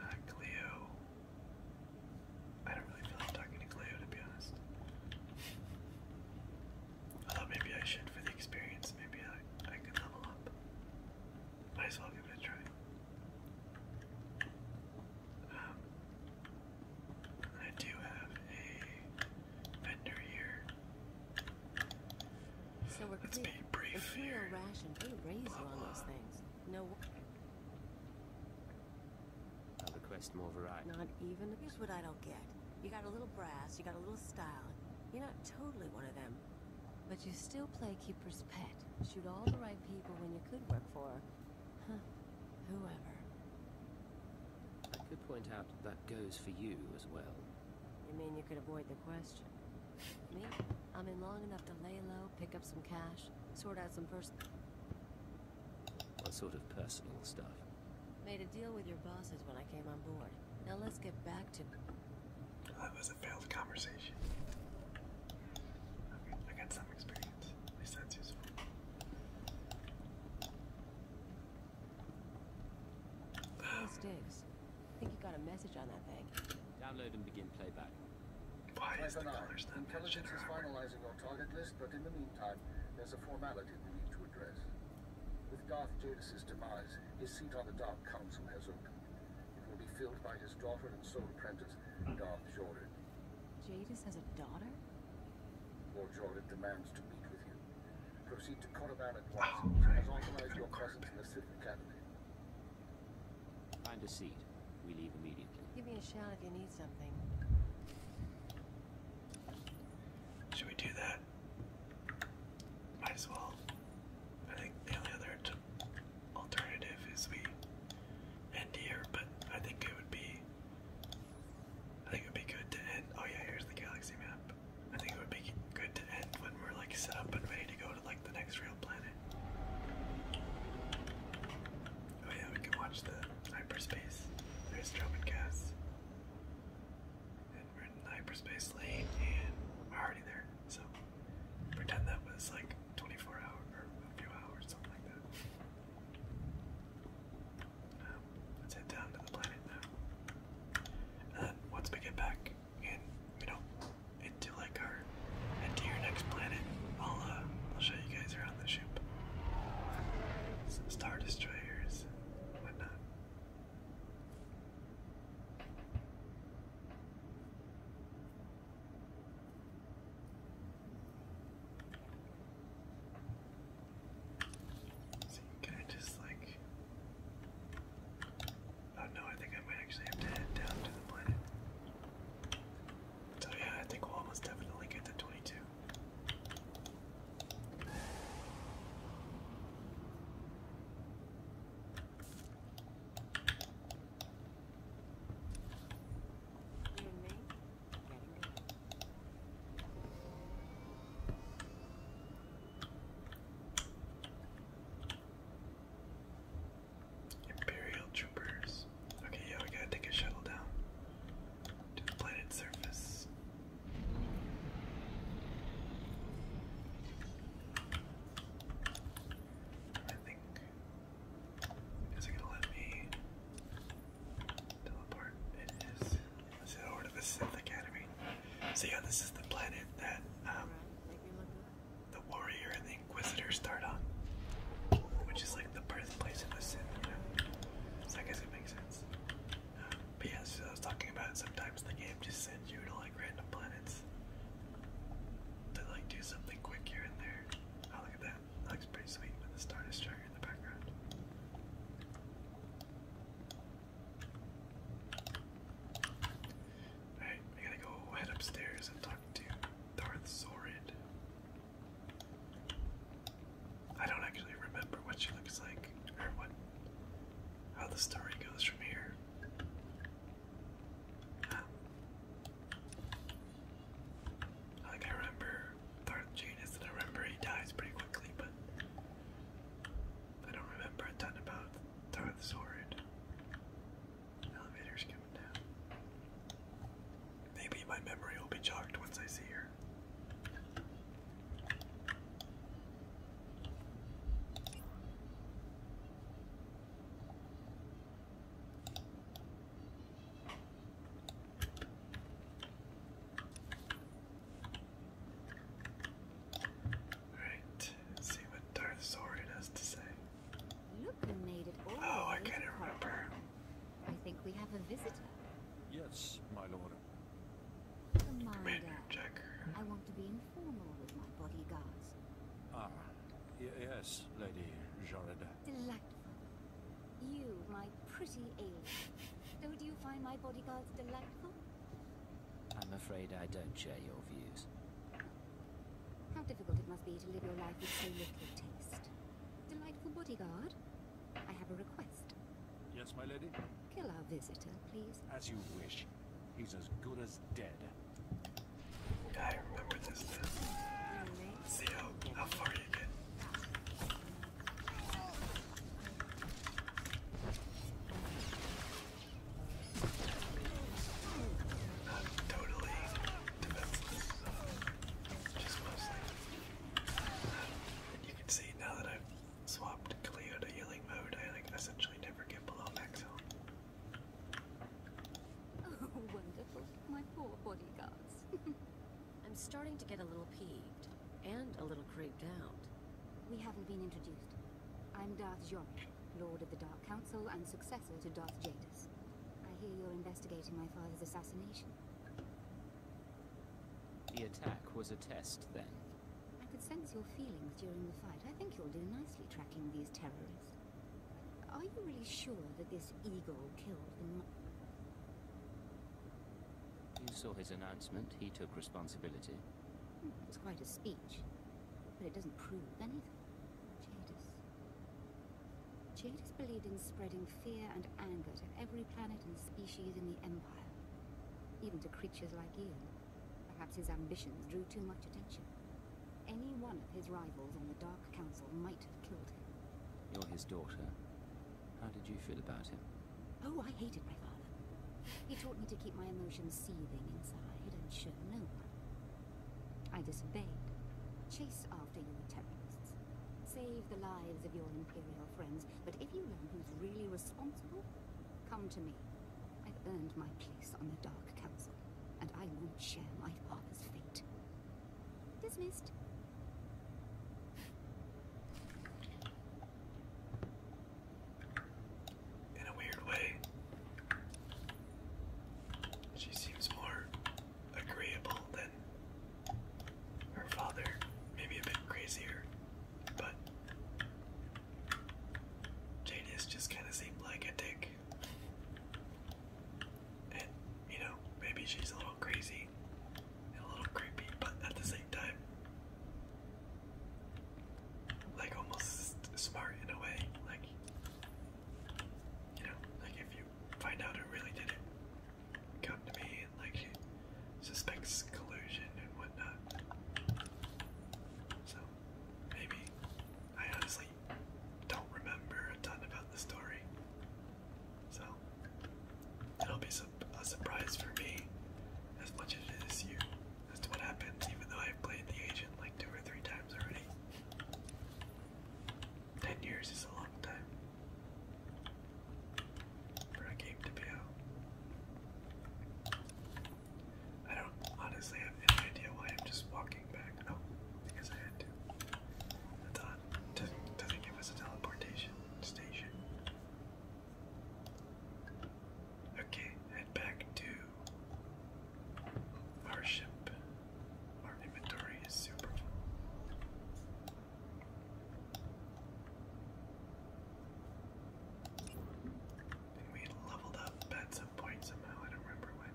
uh, I don't really feel like talking to Cleo to be honest. Although maybe I should for the experience, maybe I I could level up. Might as well give try. Um, I do have a vendor here. So we're Let's be brief here. raise blah, those things. No. i request more variety. Not even. Here's what I don't get. You got a little brass, you got a little style. You're not totally one of them. But you still play Keeper's Pet. Shoot all the right people when you could work for. Huh. Whoever. I could point out that goes for you as well. You mean you could avoid the question? Me? I'm in long enough to lay low, pick up some cash, sort out some personal... What sort of personal stuff? Made a deal with your bosses when I came on board. Now let's get back to... That was a failed conversation. I got some experience. At least that's I think you got a message on that thing. Download and begin playback. Why is the Intelligence is finalizing our target list, but in the meantime, there's a formality we need to address. With Darth Jadis' demise, his seat on the Dark Council has opened. It will be filled by his daughter and sole apprentice, Darth Jordan. Jadis has a daughter? Lord Jordan demands to meet with you. Proceed to Korriban at once, oh, has authorized your presence in the Sith Find a seat. We leave immediately. Give me a shout if you need something. Should we do that? Might as well. I think the only other alternative is we end here, but I think it would be. I think it would be good to end. Oh yeah, here's the galaxy map. I think it would be good to end when we're like set up and ready to go like the next real planet. Oh yeah, we can watch the hyperspace. There's Drummond Cass. we're in hyperspace lane and we're already there. So pretend that was like 24 hours or a few hours, something like that. Um, let's head down to the planet now. And we get back and we into like our into your next planet. I'll uh, I'll show you guys around the ship. Some star destroyers, and whatnot. See, can just like Oh, no, I think I might actually have to head down to the planet. So yeah, I think we'll almost definitely get the 22. Imperial troopers. Okay, yeah, we gotta take a shuttle down to the planet's surface. I think. Is it gonna let me teleport? It is. Let's head over to the Sith Academy. So, yeah, this is the planet that um, the warrior and the inquisitor start on, which is like the birthplace of the Sith. You know? So I guess it makes sense. Uh, I was talking about sometimes the game just sends you to like random planets to like do something quick here and there. Oh look at that! looks pretty sweet with the Star Destroyer in the background. Alright, I gotta go head upstairs and talk Darth Zorid. I don't actually remember what she looks like or what how the story goes from here. Um, I remember Darth Janus and I remember he dies pretty quickly, but I don't remember a ton about Darth Zorid. Elevator's coming down. Maybe my memory will be jogged once I see her. Alright, see what Darth has to say. Oh, I can't remember. I think we have a visitor. Yes, my lord. Commander I want to be informal with my bodyguards. Ah, yes, Lady Jarada. Delightful. You, my pretty alien. Don't you find my bodyguards delightful? I'm afraid I don't share your views. How difficult it must be to live your life with so little taste. Delightful bodyguard, I have a request. Yes, my lady? Kill our visitor, please. As you wish. He's as good as dead. I remember this see how far you get. Not totally you can see now that I've swapped to healing mode, I essentially never get below max health. Oh, *laughs* wonderful. My poor bodyguards. *laughs* I'm starting to get a little peeved, and a little creeped out. We haven't been introduced. I'm Darth Jorn, Lord of the Dark Council and successor to Darth Jaden. I hear you're investigating my father's assassination. The attack was a test, then? I could sense your feelings during the fight. I think you'll do nicely tracking these terrorists. Are you really sure that this eagle killed the... You saw his announcement. He took responsibility. Hmm, it was quite a speech, but it doesn't prove anything. Jadis. Jadis believed in spreading fear and anger to every planet and species in the Empire. Even to creatures like you. Perhaps his ambitions drew too much attention. Any one of his rivals on the Dark Council might have killed him. You're his daughter. How did you feel about him? Oh, I hated my father. He taught me to keep my emotions seething inside and show no one. I disobeyed, chased after Save the lives of your Imperial friends, but if you learn who's really responsible, come to me. I've earned my place on the Dark Council, and I won't share my father's fate. Dismissed. In a weird way, she seems more agreeable than her father. Maybe a bit crazier, but Jadis just kind of seemed like a dick. And, you know, maybe she's a little crazy a little creepy, but at the same time, like almost smart in a way. Like, you know, like if you find out who really did it, come to me and like suspects collusion and whatnot. So maybe I honestly don't remember a ton about the story. So it'll be a surprise for me as much as it is you as to what happens, even though I've played the agent like two or three times already. Ten years is a long time for a game to be out. I don't honestly have any idea why I'm just walking back. Oh, because I had to. That's odd. does doesn't give us a teleportation station. Okay, head back to our ship, our inventory is super full. And we leveled up at some point somehow, I don't remember when.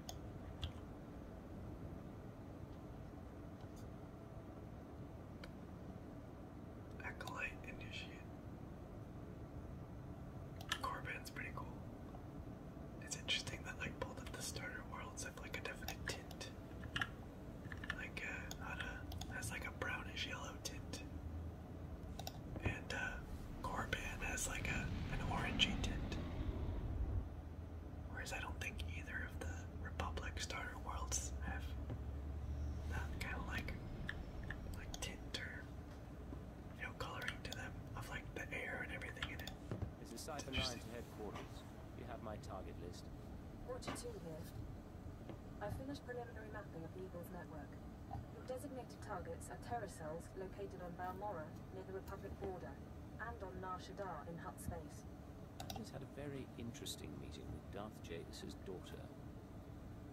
Acolyte initiate. Corban's pretty cool. It's interesting that like both of the starter worlds have like a definite tint. Like uh a has like a brownish yellow tint. And uh Corban has like a an orangey tint. Whereas I don't think either of the Republic starter worlds have that kind of like like tint or you know coloring to them of like the air and everything in it. Is this Cypher 9 to you have my target list. Roger here. I've finished preliminary mapping of the Eagles network. Your designated targets are terror cells located on Balmora, near the Republic border, and on Nar Shaddaa in Hut space. I had a very interesting meeting with Darth Jadis' daughter.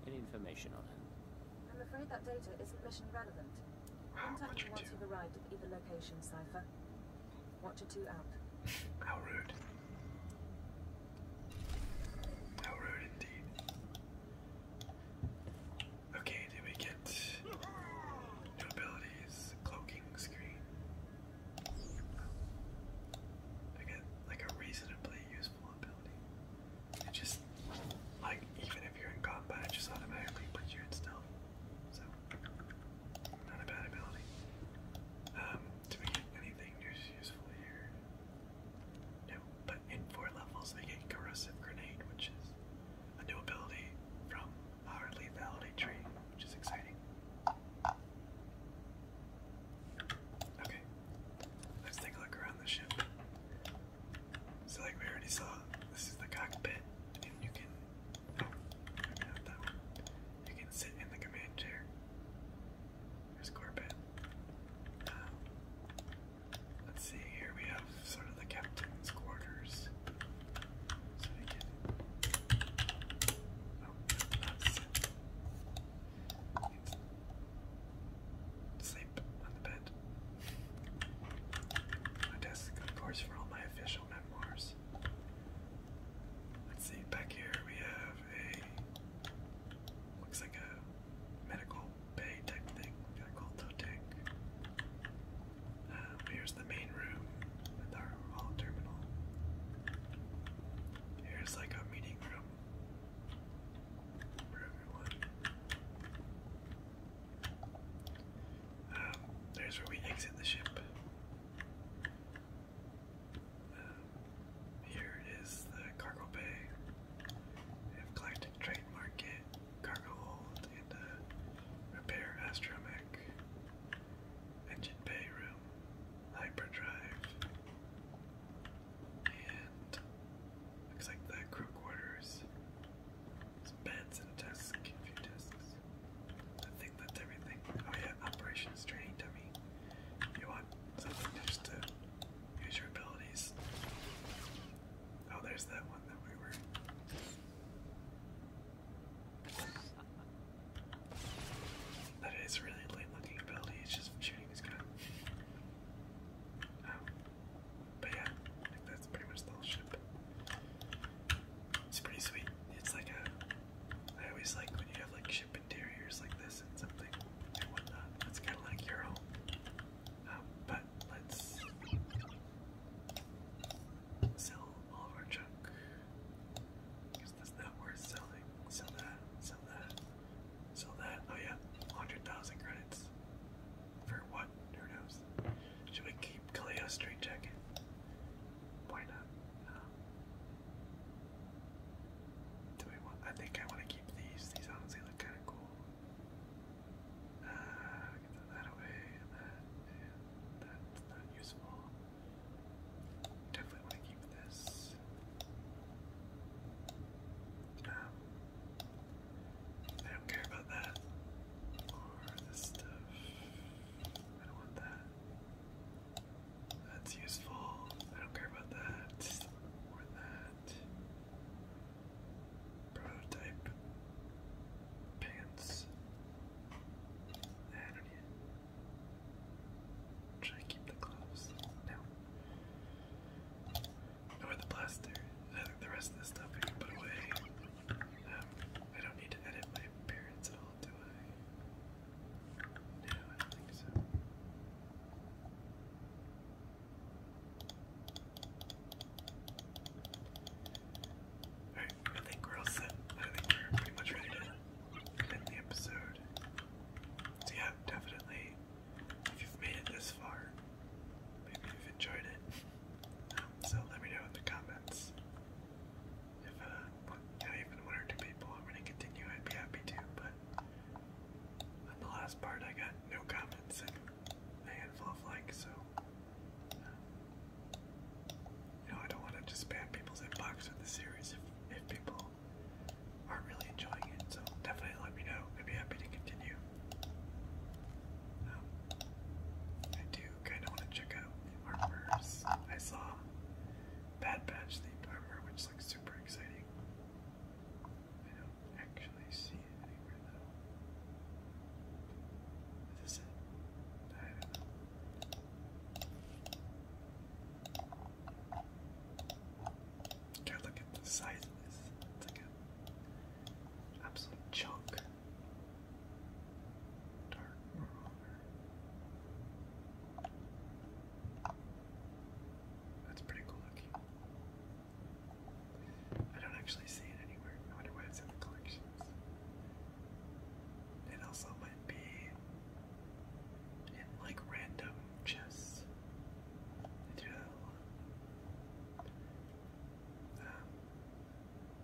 Any information on her? I'm afraid that data isn't mission relevant. Contact me once you've arrived at either location, Cypher. Watcher 2 out. How rude. How rude indeed. Okay, did we get new abilities? Cloaking screen. I get like a reasonably useful ability. It just, like, even if you're in combat, just automatically puts you in stealth. So, not a bad ability. Um, do we get anything useful here? No, but in four levels they get Corrosive Grenade, which is a new ability from our Lethality tree, which is exciting. Okay, let's take a look around the ship. So, like we already saw, this is the cockpit, and you can you can sit in the command chair. There's Corbett. Um, let's see, here we have sort of the captain's quarters. Oh, Sleep on the bed. My desk, of course, for all my official memoirs. Let's see, back here we have a looks like a medical bay type thing. We got tank. Uh, here's the main room with our hall terminal. Here's like a meeting room for everyone there's where we exit the ship. Um, here is the cargo bay. Galactic Trade Market, cargo hold, and repair astromech. Engine bay room, hyperdrive, and looks like the crew quarters beds and a desk, desks. I think that's everything. Oh yeah, operations training dummy. You want something just to use your abilities. Oh, there's that one that we were. That is really late looking ability, it's just shooting his gun. Um, but yeah, that's pretty much the whole ship. It's pretty sweet. It's like a. I always like when you have like ship interiors like this and something It's kind of like your home. Um, but let's sell all of our junk. Because that's not worth selling. Sell that, sell that, sell that. Oh, yeah, 100,000 credits. For what? Who knows? Should we keep Kaleo String Jacket? why not? Uh, do we want? I think I want to keep these. These honestly look kind of cool. Uh, I that away, that, that's not useful. Definitely want to keep this. Um, I don't care about that or this stuff. I don't want that. That's useful. I don't care about that. Or that. Prototype pants. I don't need it. Should I keep the gloves? No. Or the plaster. the rest of this stuff put away. Um, I don't need to edit my appearance at all, do I? No, I don't think so. Alright, I think we're all set. I think we're pretty much ready to end the episode. yeah, definitely, if you've made it this far, maybe you've enjoyed it. Um, so let me know in the comments if uh, you even one or two people I'm going to continue, I'd be happy to, but on the last part I got no comments and a handful of likes, so... you know, I don't want to just spam people's inbox with the series if, if people are really enjoying it, so definitely let me know. I'd be happy to continue. Um, I do kind of want to check out the armors. I saw Bad Batch themed armor, which looks super exciting. I don't actually see it anywhere though. look at the size of this. It's like an absolute chunk. That's pretty cool I don't actually see it anywhere. I wonder why it's in the collections. It also might be in like random chests. They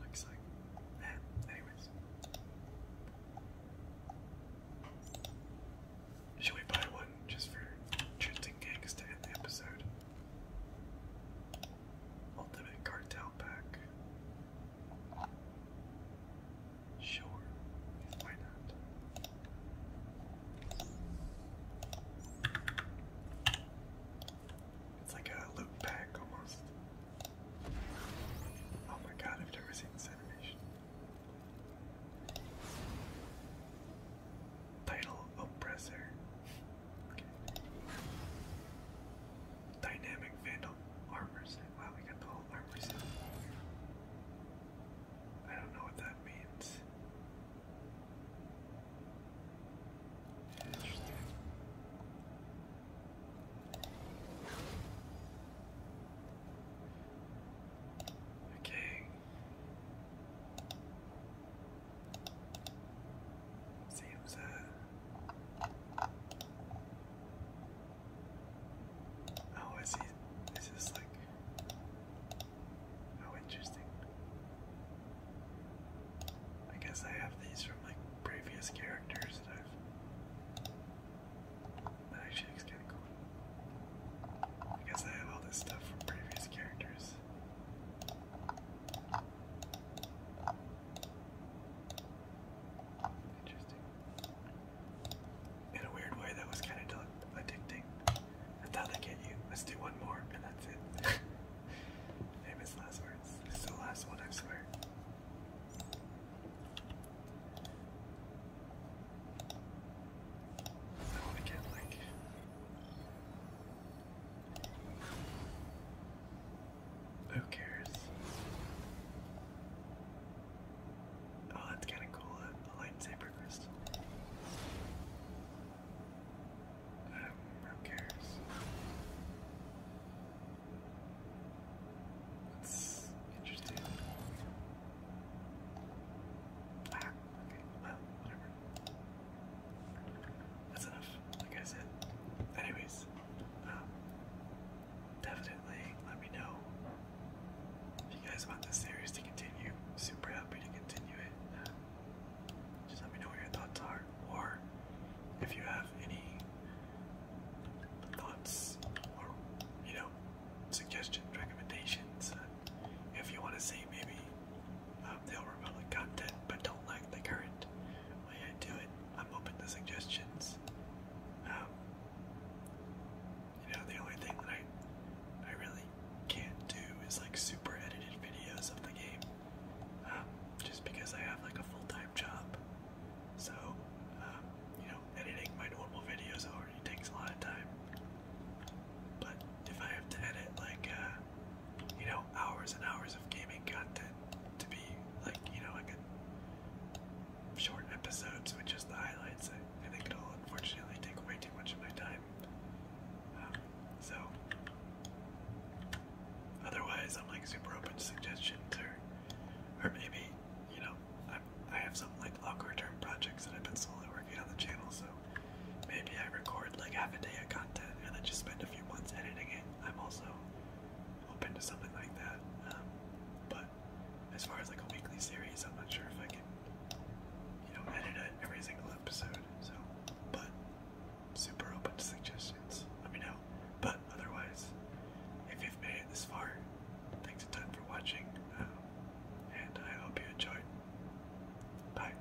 Looks like that. Anyways. Should we buy one just for Trenton Gangs to end the episode? Ultimate Cartel Pack. Sure, why not? It's like a loot pack almost. Oh my god, I've never seen this animation. Title Oppressor. Dynamic Vandal Armor set. Wow, we got the whole armor set. I don't know what that means. Okay. Seems uh Oh, Is see. This is like how interesting. I guess I have these from like previous characters that I've. actually looks kind of cool. I guess I have all this stuff from previous characters. Interesting. In a weird way, that was kind of addicting. thought I'd get you. Let's do one more, and that's it. *laughs* Famous last words. This is the last one, I swear. Who cares? Oh, that's kind of cool. A, lightsaber crystal. Um, who cares? That's interesting. okay, well, whatever. That's enough, like I said. Anyways, definitely let me know if you guys want this series to continue. Super happy to continue it. just let me know what your thoughts are, or if you have any thoughts or you know suggestions, recommendations. Uh, if you want to see maybe um, the Old Republic content but don't like the current way I do it, I'm open to suggestions. Um, you know, the only thing that I I really can't do is like super edited videos of the game, um, just because I have like a full time job. So, um, you know, editing my normal videos already takes a lot of time. But if I have to edit like, uh, you know, hours and hours of gaming content to be like, you know, like a short episodes with just the highlights, I, think it'll unfortunately take away too much of my time. Um, so, otherwise, I'm like super open to suggestions or or maybe you know I, I have some like longer term projects that I've been slowly working on the channel, so maybe I record like half a day of content and then just spend a few months editing it. I'm also open to something like that, um, but as far as like a weekly series, I'm not sure if I can you know edit it every single episode. So, but super open to suggestions. Let me know. But otherwise. If you've made it this far, thanks a ton for watching, um, and I hope you enjoyed. Bye.